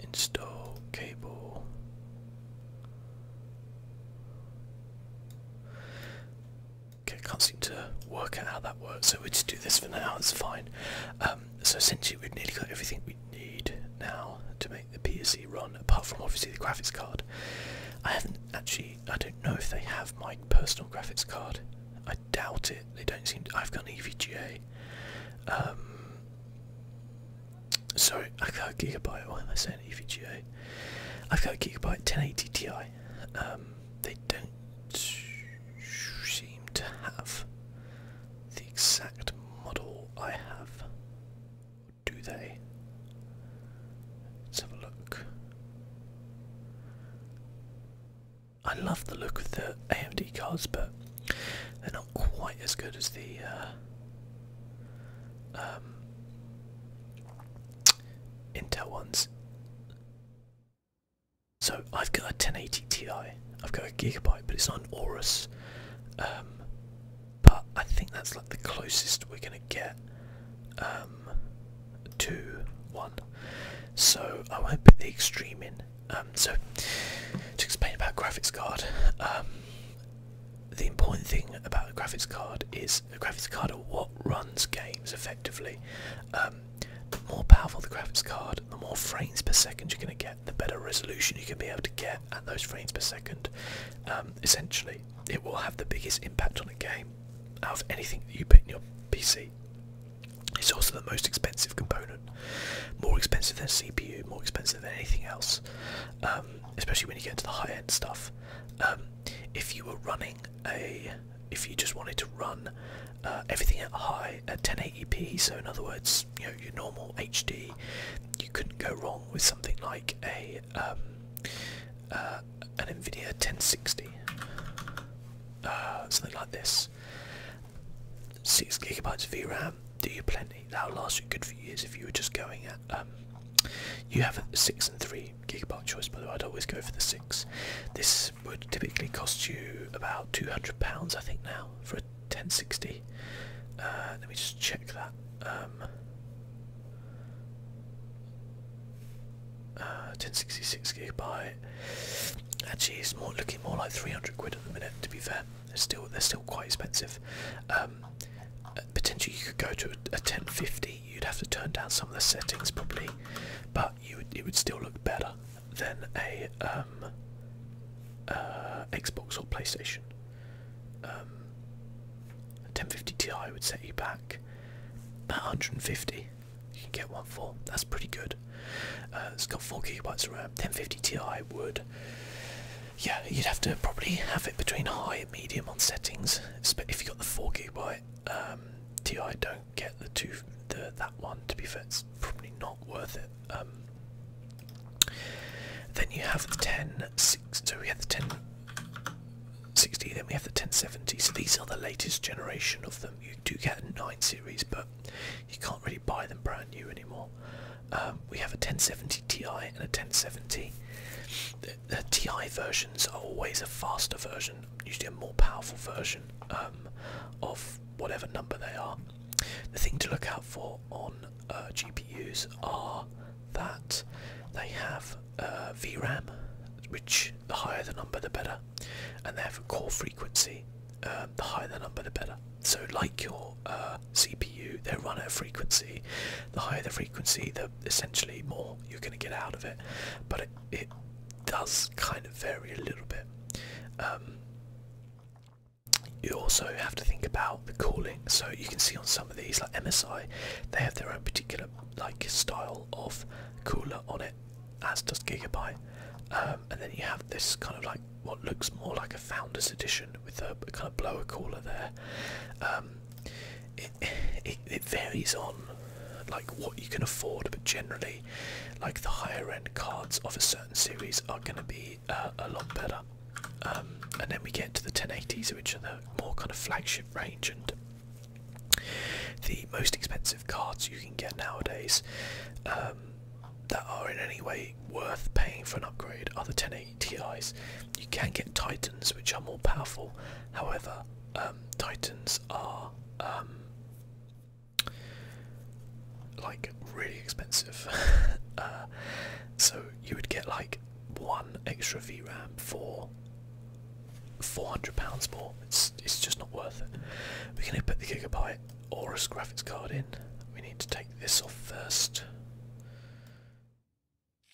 Install cable. Okay, can't seem to work out how that works, so we'll just do this for now, it's fine. Um, so essentially we've nearly got everything we need now to make the PSE run, apart from obviously the graphics card. I haven't actually, I don't know if they have my personal graphics card. I doubt it, they don't seem I've got an EVGA. Um, sorry, I've got a Gigabyte, why am I saying EVGA? I've got a Gigabyte 1080 Ti. Um, they don't seem to have the exact model I have, do they? Let's have a look. I love the look of the AMD cards, but they're not quite as good as the uh, um, Intel ones. So I've got a 1080 Ti. I've got a gigabyte, but it's not an Aorus. Um, but I think that's like the closest we're gonna get um, Two, one. So I won't put the extreme in. Um, so to explain about graphics card, the important thing about a graphics card is the graphics card are what runs games effectively. Um, the more powerful the graphics card, the more frames per second you're going to get, the better resolution you can be able to get at those frames per second. Um, essentially, it will have the biggest impact on a game out of anything that you put in your PC. It's also the most expensive component, more expensive than CPU, more expensive than anything else, um, especially when you get into the high-end stuff if you were running a, if you just wanted to run uh, everything at high at 1080p, so in other words, your normal HD, you couldn't go wrong with something like a um, uh, an Nvidia 1060, uh, something like this. Six gigabytes of VRAM, do you plenty? That'll last you good for years if you were just going at. Um, you have six and three gigabyte choice, By the way, I'd always go for the six. This would typically cost you about two hundred pounds, I think, now for a ten sixty. Uh, let me just check that. 1066 um, uh, gigabyte actually it's more looking more like 300 quid at the minute to be fair they're still they're still quite expensive um, potentially you could go to a, 1050. You'd have to turn down some of the settings probably, but you it would still look better than a um, uh, Xbox or PlayStation. Um, 1050 Ti would set you back at 150. You can get one for that's pretty good. Uh, it's got four gigabytes of RAM. 1050 Ti would, yeah, you'd have to probably have it between high and medium on settings. If you got the four gigabyte, Ti um, don't get the two the that one. To be fair, it's probably not worth it. Um. then you have the ten six. So we have the ten sixty. Then we have the ten seventy. So these are the latest generation of them. You do get a nine series, but you can't really buy them brand new anymore. Um, we have a 1070 Ti and a 1070 the TI versions are always a faster version, usually a more powerful version um, of whatever number they are. The thing to look out for on uh, GPUs are that they have uh, VRAM, which the higher the number the better, and they have a core frequency, um, the higher the number the better. So like your uh, CPU, they run at a frequency, the higher the frequency, essentially more you're going to get out of it, but it, does kind of vary a little bit. Um, you also have to think about the cooling, So you can see on some of these, like MSI, they have their own particular like style of cooler on it, as does Gigabyte. Um, and then you have this kind of like what looks more like a Founders Edition with a, kind of blower cooler there. Um, it, it varies on like what you can afford, but generally, like the higher end cards of a certain series are going to be uh, a lot better. Um, and then we get to the 1080s, which are the more kind of flagship range, and the most expensive cards you can get nowadays um, that are in any way worth paying for an upgrade are the 1080 Ti's. You can get Titans, which are more powerful. However, um, Titans are um, like really expensive. [laughs] Uh, so you would get like one extra VRAM for £400 more. It's, it's just not worth it. We're going to put the Gigabyte Aorus graphics card in. We need to take this off first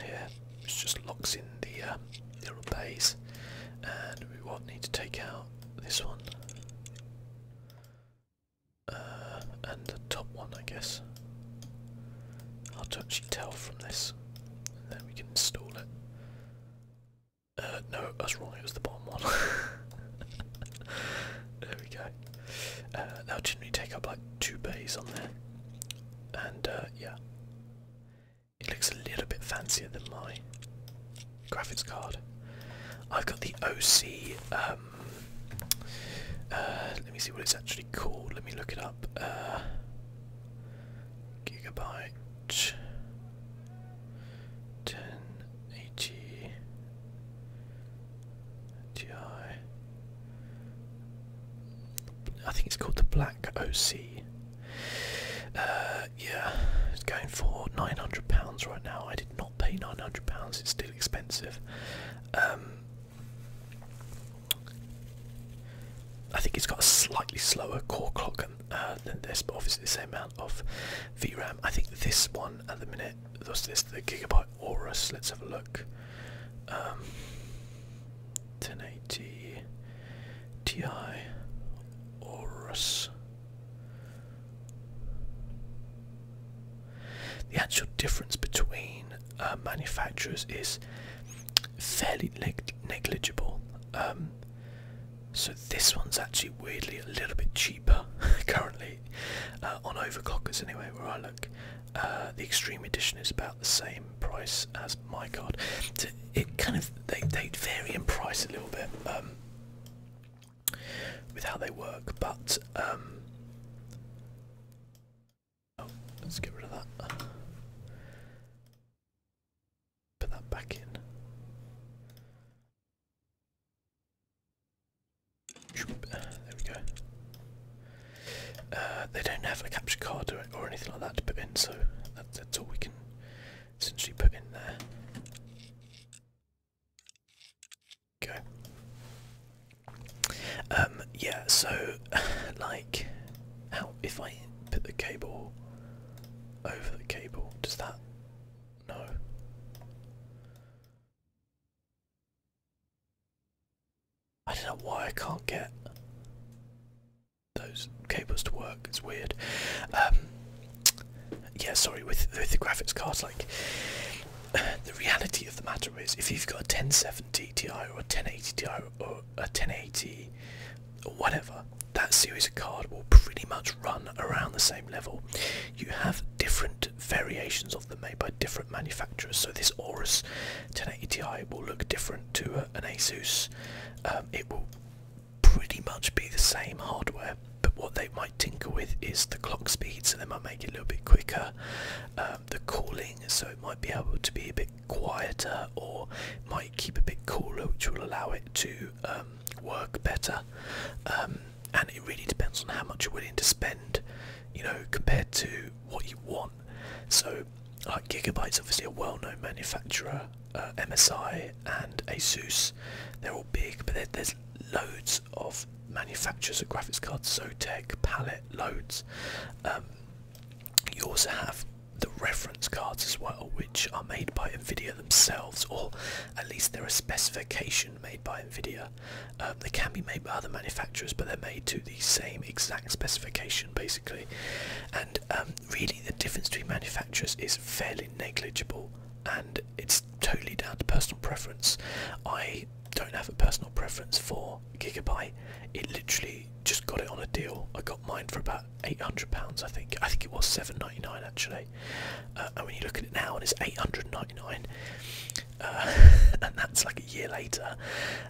here, which just locks in the, little um, base. And we what need to take out this one uh, and the top one, I guess. Hard to actually tell from this. And then we can install it. Uh, no, that's wrong, it was the bottom one. [laughs] there we go. Uh, that'll generally take up like two bays on there. And uh, yeah, it looks a little bit fancier than my graphics card. I've got the OC. Um, uh, let me see what it's actually called. Let me look it up. Uh, gigabyte 1080 Ti. I think it's called the Black OC. Uh, yeah, it's going for nine hundred pounds right now. I did not pay nine hundred pounds. It's still expensive. Um, I think it's got a slightly slower core clock uh, than this, but obviously the same amount of VRAM. I think this one at the minute, this, this the Gigabyte Aorus. Let's have a look. Um, 1080 Ti Aorus. The actual difference between uh, manufacturers is fairly negligible. Um, so this one's actually weirdly a little bit cheaper [laughs] currently uh, on overclockers anyway. Where I look, uh, the Extreme Edition is about the same price as my card. it kind of they they vary in price a little bit um, with how they work, but um, oh, let's get rid of that. Put that back in. There we go. Uh, they don't have a capture card or, anything like that to put in, so that's all we can can put in there. Okay. Um, yeah, so, [laughs] like, how, if I put the cable over the cable, does that, no. I don't know why I can't get those cables to work. It's weird. Um, yeah, sorry. With with the graphics cards, like [sighs] the reality of the matter is, if you've got a 1070 Ti or a 1080 Ti or a 1080 or whatever, that series of card will pretty much run around the same level. You have different variations of them made by different manufacturers. So this Aorus 1080 Ti will look different to an ASUS um, it will pretty much be the same hardware but what they might tinker with is the clock speed so they might make it a little bit quicker um, the cooling so it might be able to be a bit quieter or might keep a bit cooler which will allow it to um, work better and it really depends on how much you're willing to spend you know compared to what you want so so, uh, Gigabyte's obviously a well-known manufacturer. Uh, MSI and ASUS, they're all big, but there's loads of manufacturers of graphics cards. Zotac, Palette, loads. Um, you also have the reference cards as well, which are made by Nvidia themselves, or at least there are a specification made by Nvidia. Um, they can be made by other manufacturers, but they're made to the same exact specification, basically. And um, um, really the difference between manufacturers is fairly negligible and it's totally down to personal preference. I don't have a personal preference for Gigabyte. It literally just got it on a deal. I got mine for about £800 I think. I think it was seven ninety nine pounds actually. Uh, and when you look at it now and it's £899 uh, [laughs] and that's like a year later,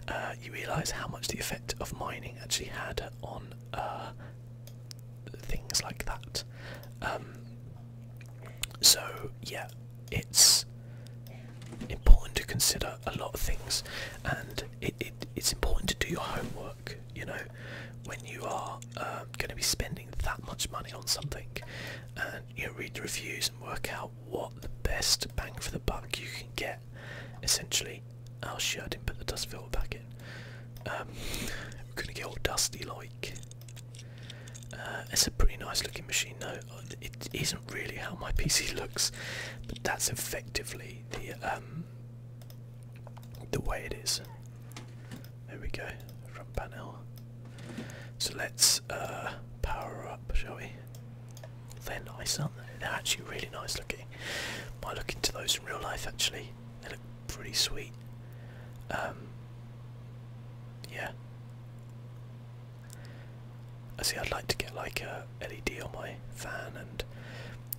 uh, you realise how much the effect of mining actually had on uh, things like that. Um, so yeah, it's important to consider a lot of things, and it's important to do your homework. You know, when you are um, going to be spending that much money on something, and you know, read the reviews and work out what the best bang for the buck you can get essentially. Oh shit, I didn't put the dust filter back in. Um, we're gonna get all dusty like. Uh, it's a pretty nice looking machine though. It isn't really how my [laughs] PC looks, but that's effectively the um, the way it is. There we go, front panel. So let's uh, power up, shall we? They're nice, aren't they? They're actually really nice looking. Might look into those in real life actually. They look pretty sweet. Um, yeah. I see. I'd like to get like a LED on my fan and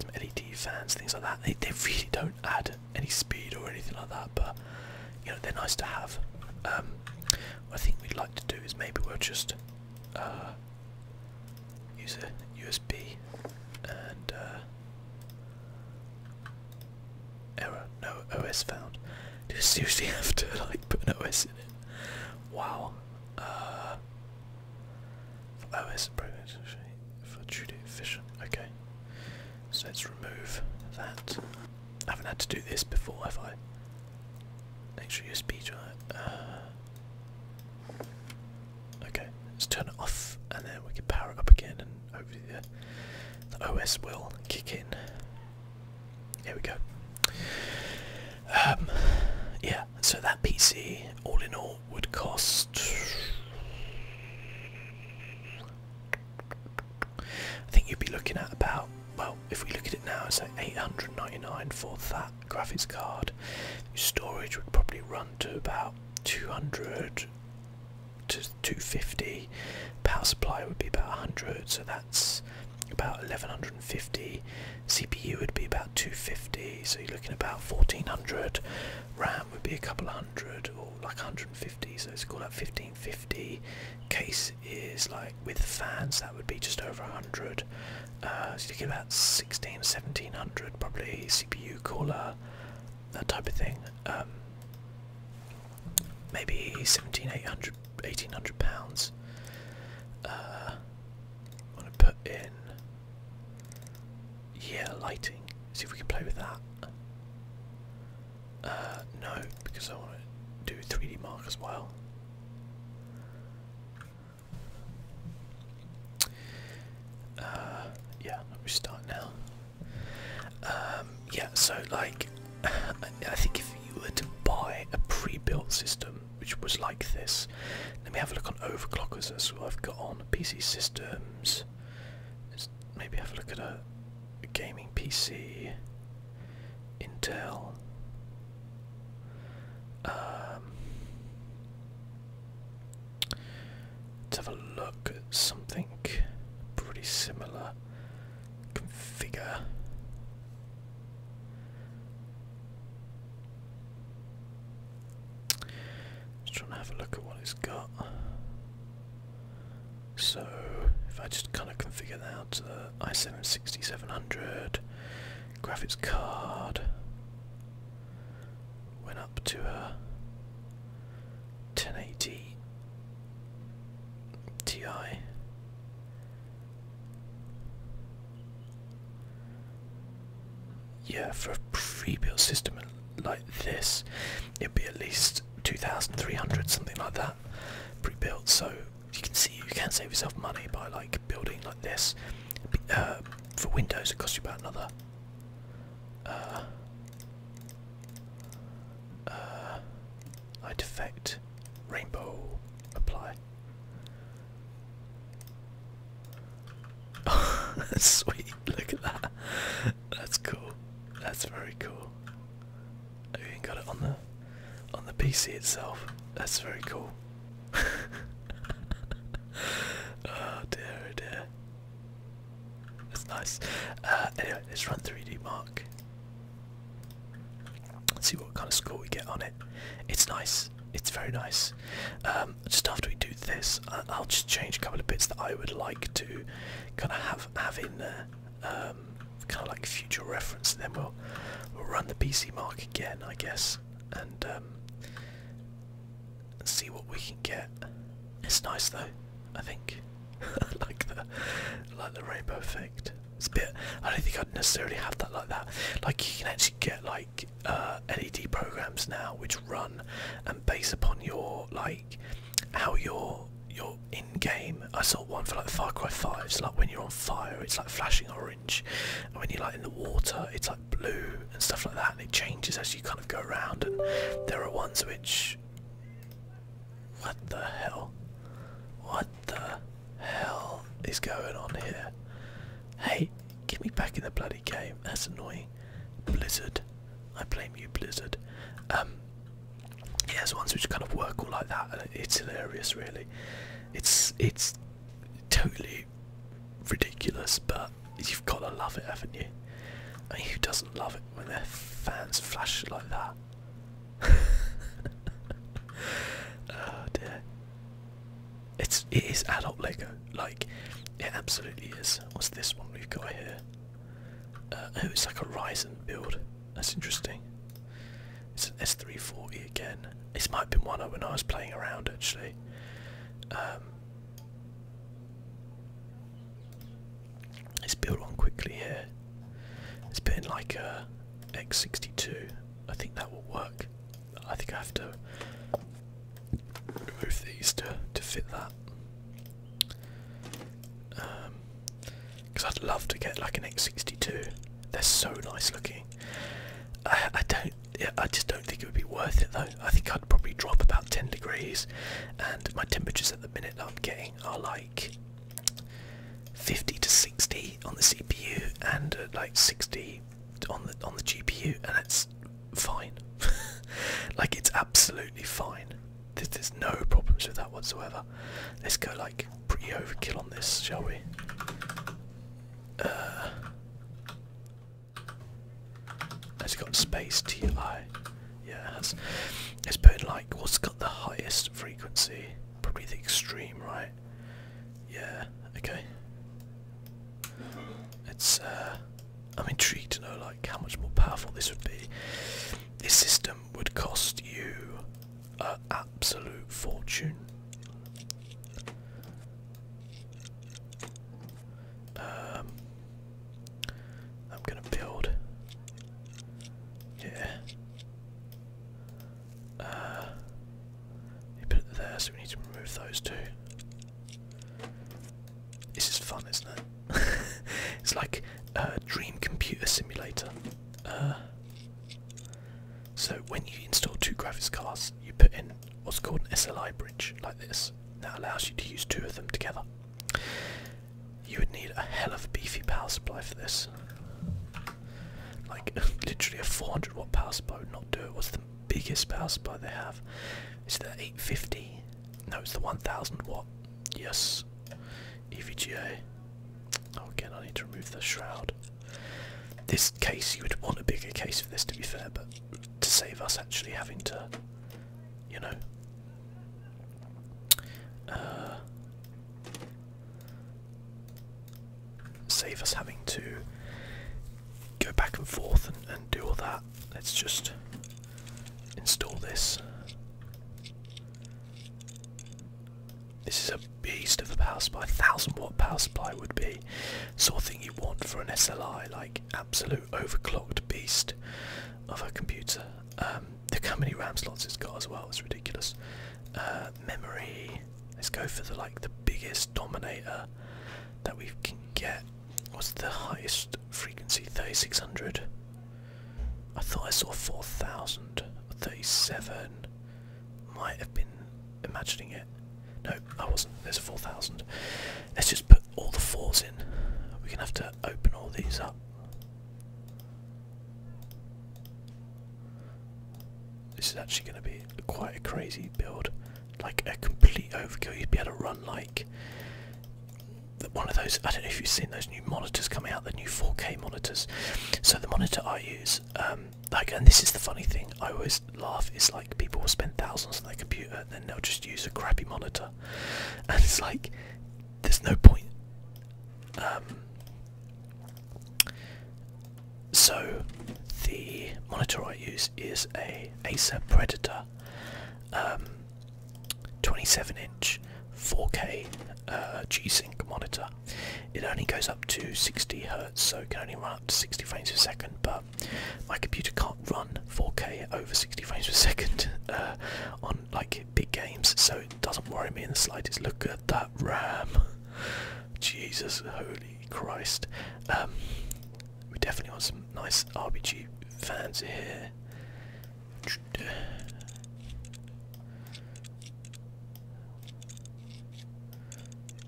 some LED fans, things like that. They they really don't add any speed or anything like that, but you know they're nice to have. Um, what I think we'd like to do is maybe we'll just uh, use a USB and uh, error, no OS found. Do you usually [laughs] have to like put an OS in it? Wow. Uh, for OS for Judy Fisher. Okay. So let's remove that. I haven't had to do this before, have I? Make Extra USB drive. Uh, Okay, let's turn it off and then we can power it up again and hopefully the, OS will kick in. Here we go. Um, yeah, so that PC all in all would cost. I think you'd be looking at about, well, if we look at it now, it's like 899 for that graphics card. storage would probably run to about 200 to 250. Power supply would be about 100, so that's about 1150. CPU would be about 250, so you're looking about 1400. RAM would be a couple of hundred or like 150, so it's called like 1550. Case is like with fans that would be just over 100. Uh, so you get about 16, 1700 probably, CPU cooler, that type of thing. Um, maybe 17, 1800 pounds. Uh, to put in, yeah, lighting. See if we can play with that. Uh, no, because I want to do 3D mark as well. Uh, yeah, we start now. Um, yeah, so like, [laughs] I think if you were to buy a pre-built system, which was like this, let me have a look on overclockers. That's what I've got on PC systems. Let's maybe have a look at a, gaming PC, Intel. Um, Let's have a look at something pretty similar. Configure. Just trying to have a look at what it's got. So, if I just kind of configure that out to the i7-6700, graphics card, went up to a uh, 1080 Ti. Yeah, for a pre-built system like this, it'd be at least 2,300, something like that, pre-built. So you can see you can save yourself money by like building like this. Uh, for Windows, it costs you about another uh, uh, I defect. Rainbow. Apply. Oh, [laughs] sweet. Look at that. That's cool. That's very cool. I even got it on the on the PC itself. That's very cool. [laughs] oh dear, oh, dear. That's nice. Uh, anyway, let's run 3D Mark. let see what kind of score we get on it. It's nice. It's very nice. Um, just after we do this, I'll just change a couple of bits that I would like to kind of have have in there, um, kind of like future reference. then we'll we'll run the PC mark again, I guess, and um, and see what we can get. It's nice though, I think. [laughs] like the like the rainbow effect. It's a bit I don't think I'd necessarily have that like that. Like you can actually get like uh LED programs now which run and base upon your like how your your in-game I saw one for like Far Cry 5, so like when you're on fire it's like flashing orange and when you're like in the water it's like blue and stuff like that, and it changes as you kind of go around. And there are ones which. What the hell? What the hell is going on here? Hey, get me back in the bloody game. That's annoying. Blizzard. I blame you, Blizzard. Um, yeah, ones which kind of work all like that, it's hilarious, really. It's it's totally ridiculous, but you've got to love it, haven't you? I who doesn't love it when their fans flash like that? [laughs] oh dear. It's it is adult Lego, like it absolutely is. What's this one we've got here? Uh, oh, it's like a Ryzen build. That's interesting. It's an S340 again. This might have been one when I was playing around actually. Um, Let's build one quickly here. Let's put in like a X62. I think that will work. I think I have to remove these to, to fit that. Because um, I'd love to get like an X62. They're so nice looking. I, I don't yeah, I just don't think it would be worth it though. I think I'd probably drop about 10 degrees, and my temperatures at the minute I'm getting are like 50 to 60 on the CPU and uh, like 60 on the on the GPU, and it's fine. [laughs] like it's absolutely fine. There's, there's no problems with that whatsoever. Let's go like pretty overkill on this, shall we? Uh, it's got space TI. Yeah, it's It's putting like what's got the highest frequency? Probably the extreme, right? Yeah. Okay. It's. Uh, I'm intrigued to know like how much more powerful this would be. This system would cost you an absolute fortune. Um, I'm gonna build. Yeah. Uh, you put it there, so we need to remove those two. This is fun, isn't it? [laughs] it's like a dream computer simulator. Uh, so when you install two graphics cards, you put in what's called an SLI bridge, like this. That allows you to use two of them together. You would need a hell of a beefy power supply for this. Like, [laughs] literally a 400 watt power supply would not do it. What's the biggest power supply they have? Is the 850? No, it's the 1000 watt. Yes. EVGA. Oh, again, I need to remove the shroud. This case, you would want a bigger case for this to be fair, but to save us actually having to, you know. Uh, save us having to go back and forth and, and do all that. Let's just install this. This is a beast of a power supply. A 1000 watt power supply would be sort of thing you want for an SLI. Like absolute overclocked beast of a computer. The um, look how many RAM slots it's got as well. It's ridiculous. Uh, memory. Let's go for the like the biggest dominator that we can get. What's the highest frequency? 3600. I thought I saw 4000 or 37. Might have been imagining it. No, I wasn't. There's a 4,000. Let's just put all the fours in. We're going to have to open all these up. This is actually going to be quite a crazy build. Like a complete overkill. You'd be able to run like one of those. I don't know if you've seen those new monitors coming out, the new 4K monitors. So the monitor I use, um, like, and this is the funny thing. I always laugh is like people will spend thousands on their computer then they'll just use a crappy monitor, [laughs] and it's like there's no point. Um, so the monitor I use is a Acer Predator, um, 27 inch, 4K uh, sync monitor. It only goes up to 60 hertz, so it can only run up 60 frames a second, but my computer can't run 4K over 60 frames per second [laughs] uh, on like big games, so it doesn't worry me in the slightest. Look at that RAM, [laughs] Jesus, holy Christ! Um, we definitely want some nice RGB fans here.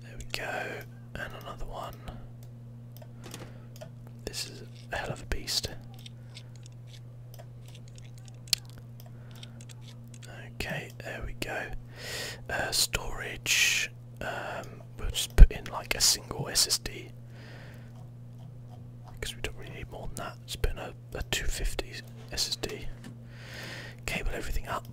There we go. And another one. This is a hell of a beast. Okay, there we go. Uh, storage. Um, we'll just put in like a single SSD because we don't really need more than that. It's been a, a 250 SSD. Cable everything up.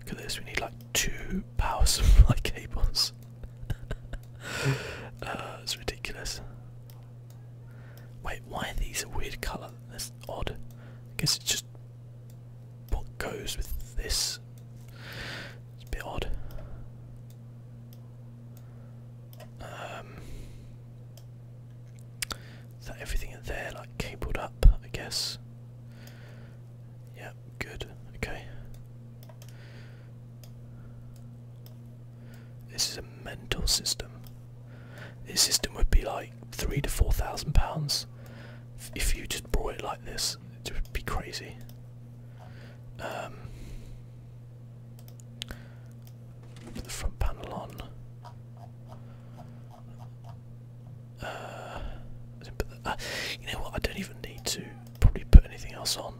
Look at this, we need like two power [laughs] supply cables. [laughs] uh, it's ridiculous. Wait, why are these a weird colour? That's odd. I guess it's just what goes with this. It's a bit odd. Um, that everything in there like cabled up, I guess. Yep, good. Okay. This is a mental system. This system would be like three to four thousand pounds if you just brought it like this. It would be crazy. Um, Put the front panel on. Uh, uh, you know what? I don't even need to probably put anything else on.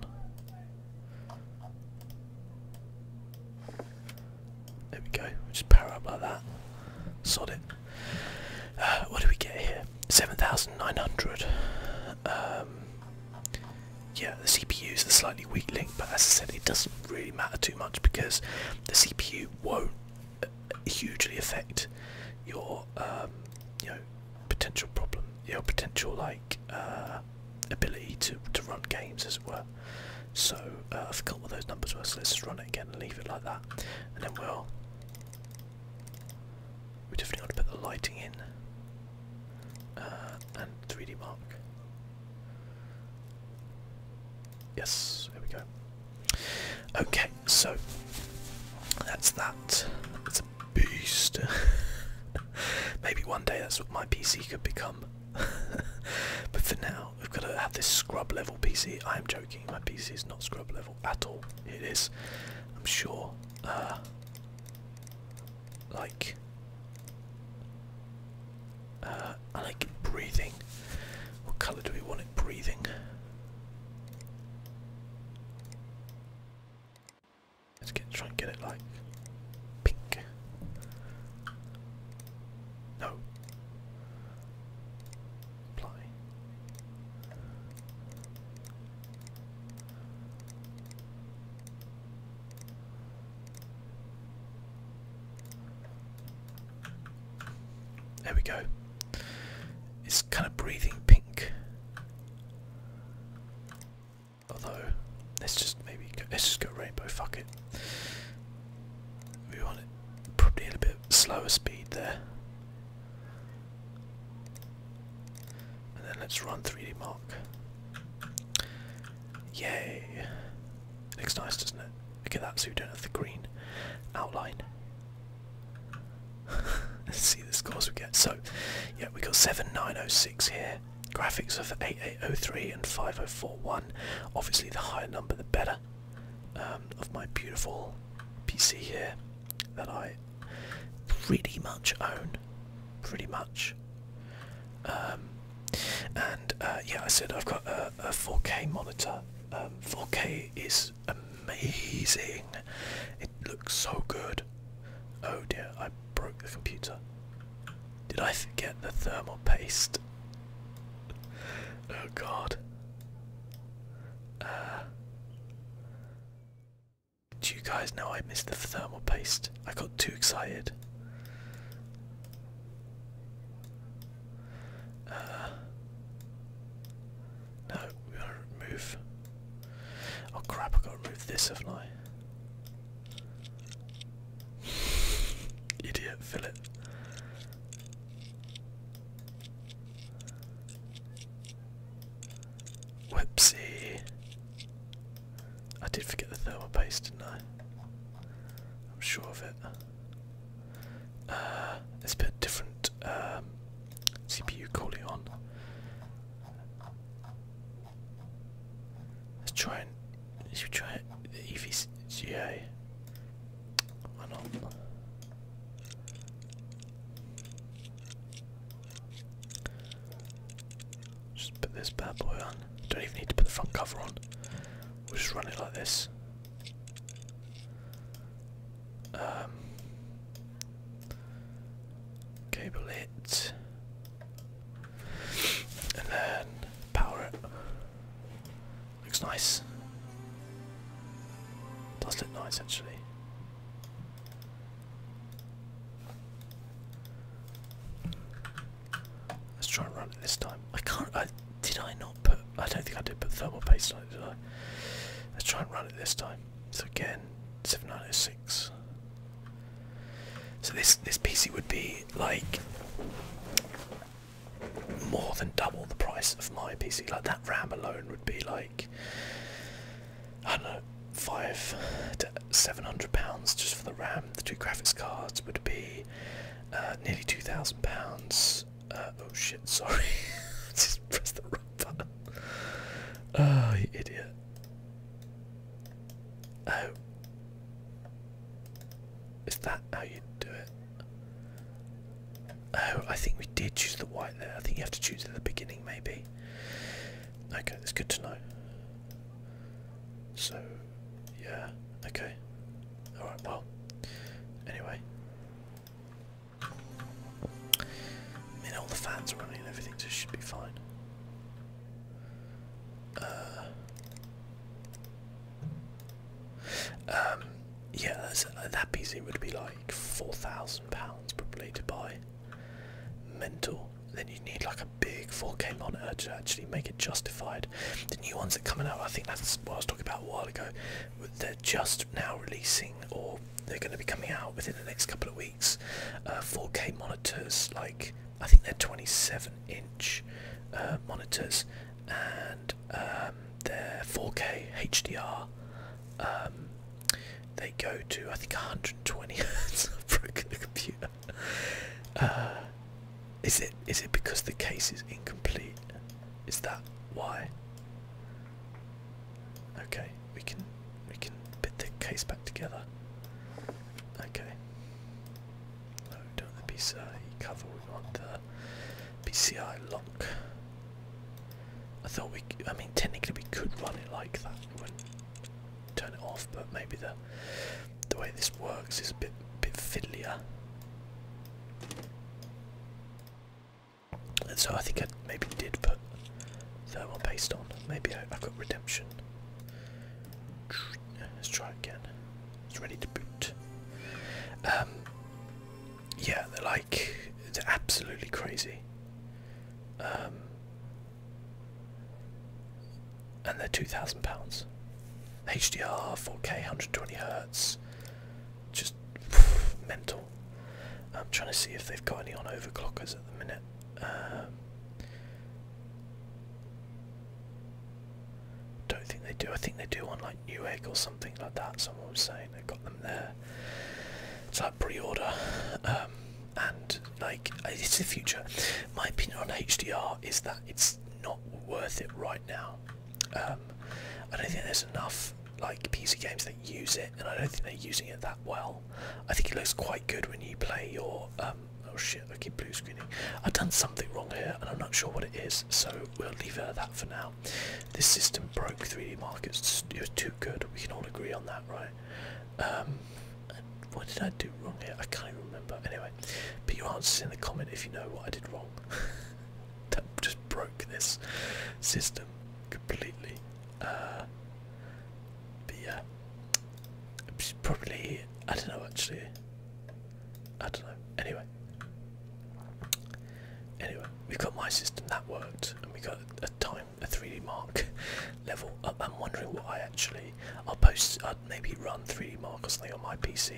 There we go. just power up like that. Sod uh, what do we get here? Seven thousand nine hundred. Um, yeah, the CPU is the slightly weak link, but as I said, it doesn't really matter too much because the CPU won't uh, hugely affect your um, you know potential problem, your potential like uh, ability to to run games as well. So uh, I forgot what those numbers were. So let's just run it again and leave it like that, and then we'll we definitely want to put the lighting in uh, and 3D mark. Yes, There we go. Okay, so that's that. That's a beast. [laughs] Maybe one day that's what my PC could become. [laughs] but for now, we've got to have this scrub level PC. I am joking, my PC is not scrub level at all. It is, I'm sure. Uh, like uh, I like breathing. What colour do we want it breathing? Let's get try and get it like pink. No. Apply. There we go. It's kind of breathing pink. Although, let's just maybe let's just go rainbow. Fuck it. We want it probably a bit slower speed there. And then let's run 3D Mark block. Yay. Looks nice, doesn't it? Look at that zoomed in at the green outline. [laughs] Let's see the scores we get. So, yeah, we got 7906 here. Graphics of 8803 and 5041. Obviously, the higher number, the better. Um, of my beautiful PC here that I pretty much own. Pretty much. Um, and uh, yeah, I said I've got a, 4K monitor. 4K um, is amazing. It looks so good. Oh dear, I broke the computer. Did I forget the thermal paste? Oh god. Uh, do you guys know I missed the thermal paste? I got too excited. Uh, no, we want to remove. Oh crap! I got to remove this, haven't I? Idiot, fill it. I did forget the thermal paste, didn't I? I'm sure of it. Uh, it's a bit different um, CPU calling on. Let's try and let's try the EVGA. Why not? Just put this bad boy on. Don't even need to put the front cover on. We'll just run it like this. Um, cable it. And then power it. Looks nice. Does look nice actually. Let's try and run it this time. I can't. I, did I not put? I don't think I did put thermal paste on it, did I? Let's try and run it this time. So again, 7906. So this this PC would be like more than double the price of my PC. Like that RAM alone would be like I don't know, five to £700 just for the RAM. The two graphics cards would be uh, nearly £2,000. Uh, oh shit, sorry. [laughs] just press the wrong button. Oh, you idiot. Oh. Is that how you do it? Oh, I think we did choose the white there. I think you have to choose at the beginning, maybe. Okay, it's good to know. So, yeah, okay. Alright, well. Anyway. I mean the fans are running and everything, so should be fine. Uh, um, yeah, uh, that PC would be like £4,000 probably to buy. Mental then you need like a big 4K monitor to actually make it justified. The new ones that are coming out, I think that's what I was talking about a while ago. They're just now releasing, or they're going to be coming out within the next couple of weeks. 4K uh, monitors, like I think they're 27-inch uh, monitors, and um, they're 4K HDR. Um, they go to I think 120 hertz. i [laughs] the computer. [laughs] Uh, is it is it because the case is incomplete? Is that why? Okay, we can we can bit the case back together. Okay. No, don't the PCI cover. We want the PCI lock. I thought we. I mean, technically we could run it like that. It would turn it off, but maybe the the way this works is a bit bit fiddlier. And so I think I maybe did put that one based on. Maybe I, have got redemption. Let's try again. It's ready to boot. Um, yeah, they're like they're absolutely crazy. Um, and they're two thousand pounds. HDR, 4K, 120 hertz, just [sighs] mental. I'm trying to see if they've got any on overclockers at the minute. Um, don't think they do. I think they do on like Newegg or something like that. Someone was saying they've got them there. It's like pre-order, um, and like it's the future. My opinion on HDR is that it's not worth it right now. Um, I don't think there's enough like PC games that use it, and I don't think they're using it that well. I think it looks quite good when you play your. Um, oh shit! I keep blue screening. I've done something wrong here, and I'm not sure what it is, so we'll leave it at that for now. This system broke 3D markets. It was too good. We can all agree on that, right? Um, and what did I do wrong here? I can't even remember. Anyway, put your answers in the comment if you know what I did wrong. [laughs] that just broke this system completely. Uh, but yeah, probably I don't know actually. I don't know. Anyway, anyway, we got my system that worked, and we got a time a 3D mark [laughs] level I'm wondering what I actually. I'll post maybe run 3D Mark or something on my PC,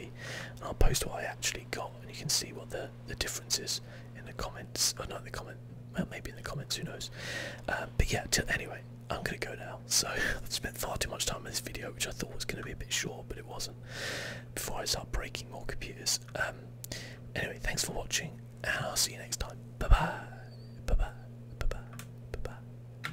and I'll post what I actually got, and you can see what the the difference is in the comments. Or not the comment, well maybe in the comments, who knows? Um, but yeah, anyway, I'm gonna go now. So [laughs] I've spent far too much time on this video, which I thought was gonna be a bit short, but it wasn't. Before I start breaking more computers. Um, anyway, thanks for watching, and I'll see you next time. Bye bye. Bye bye. Bye bye. Bye bye.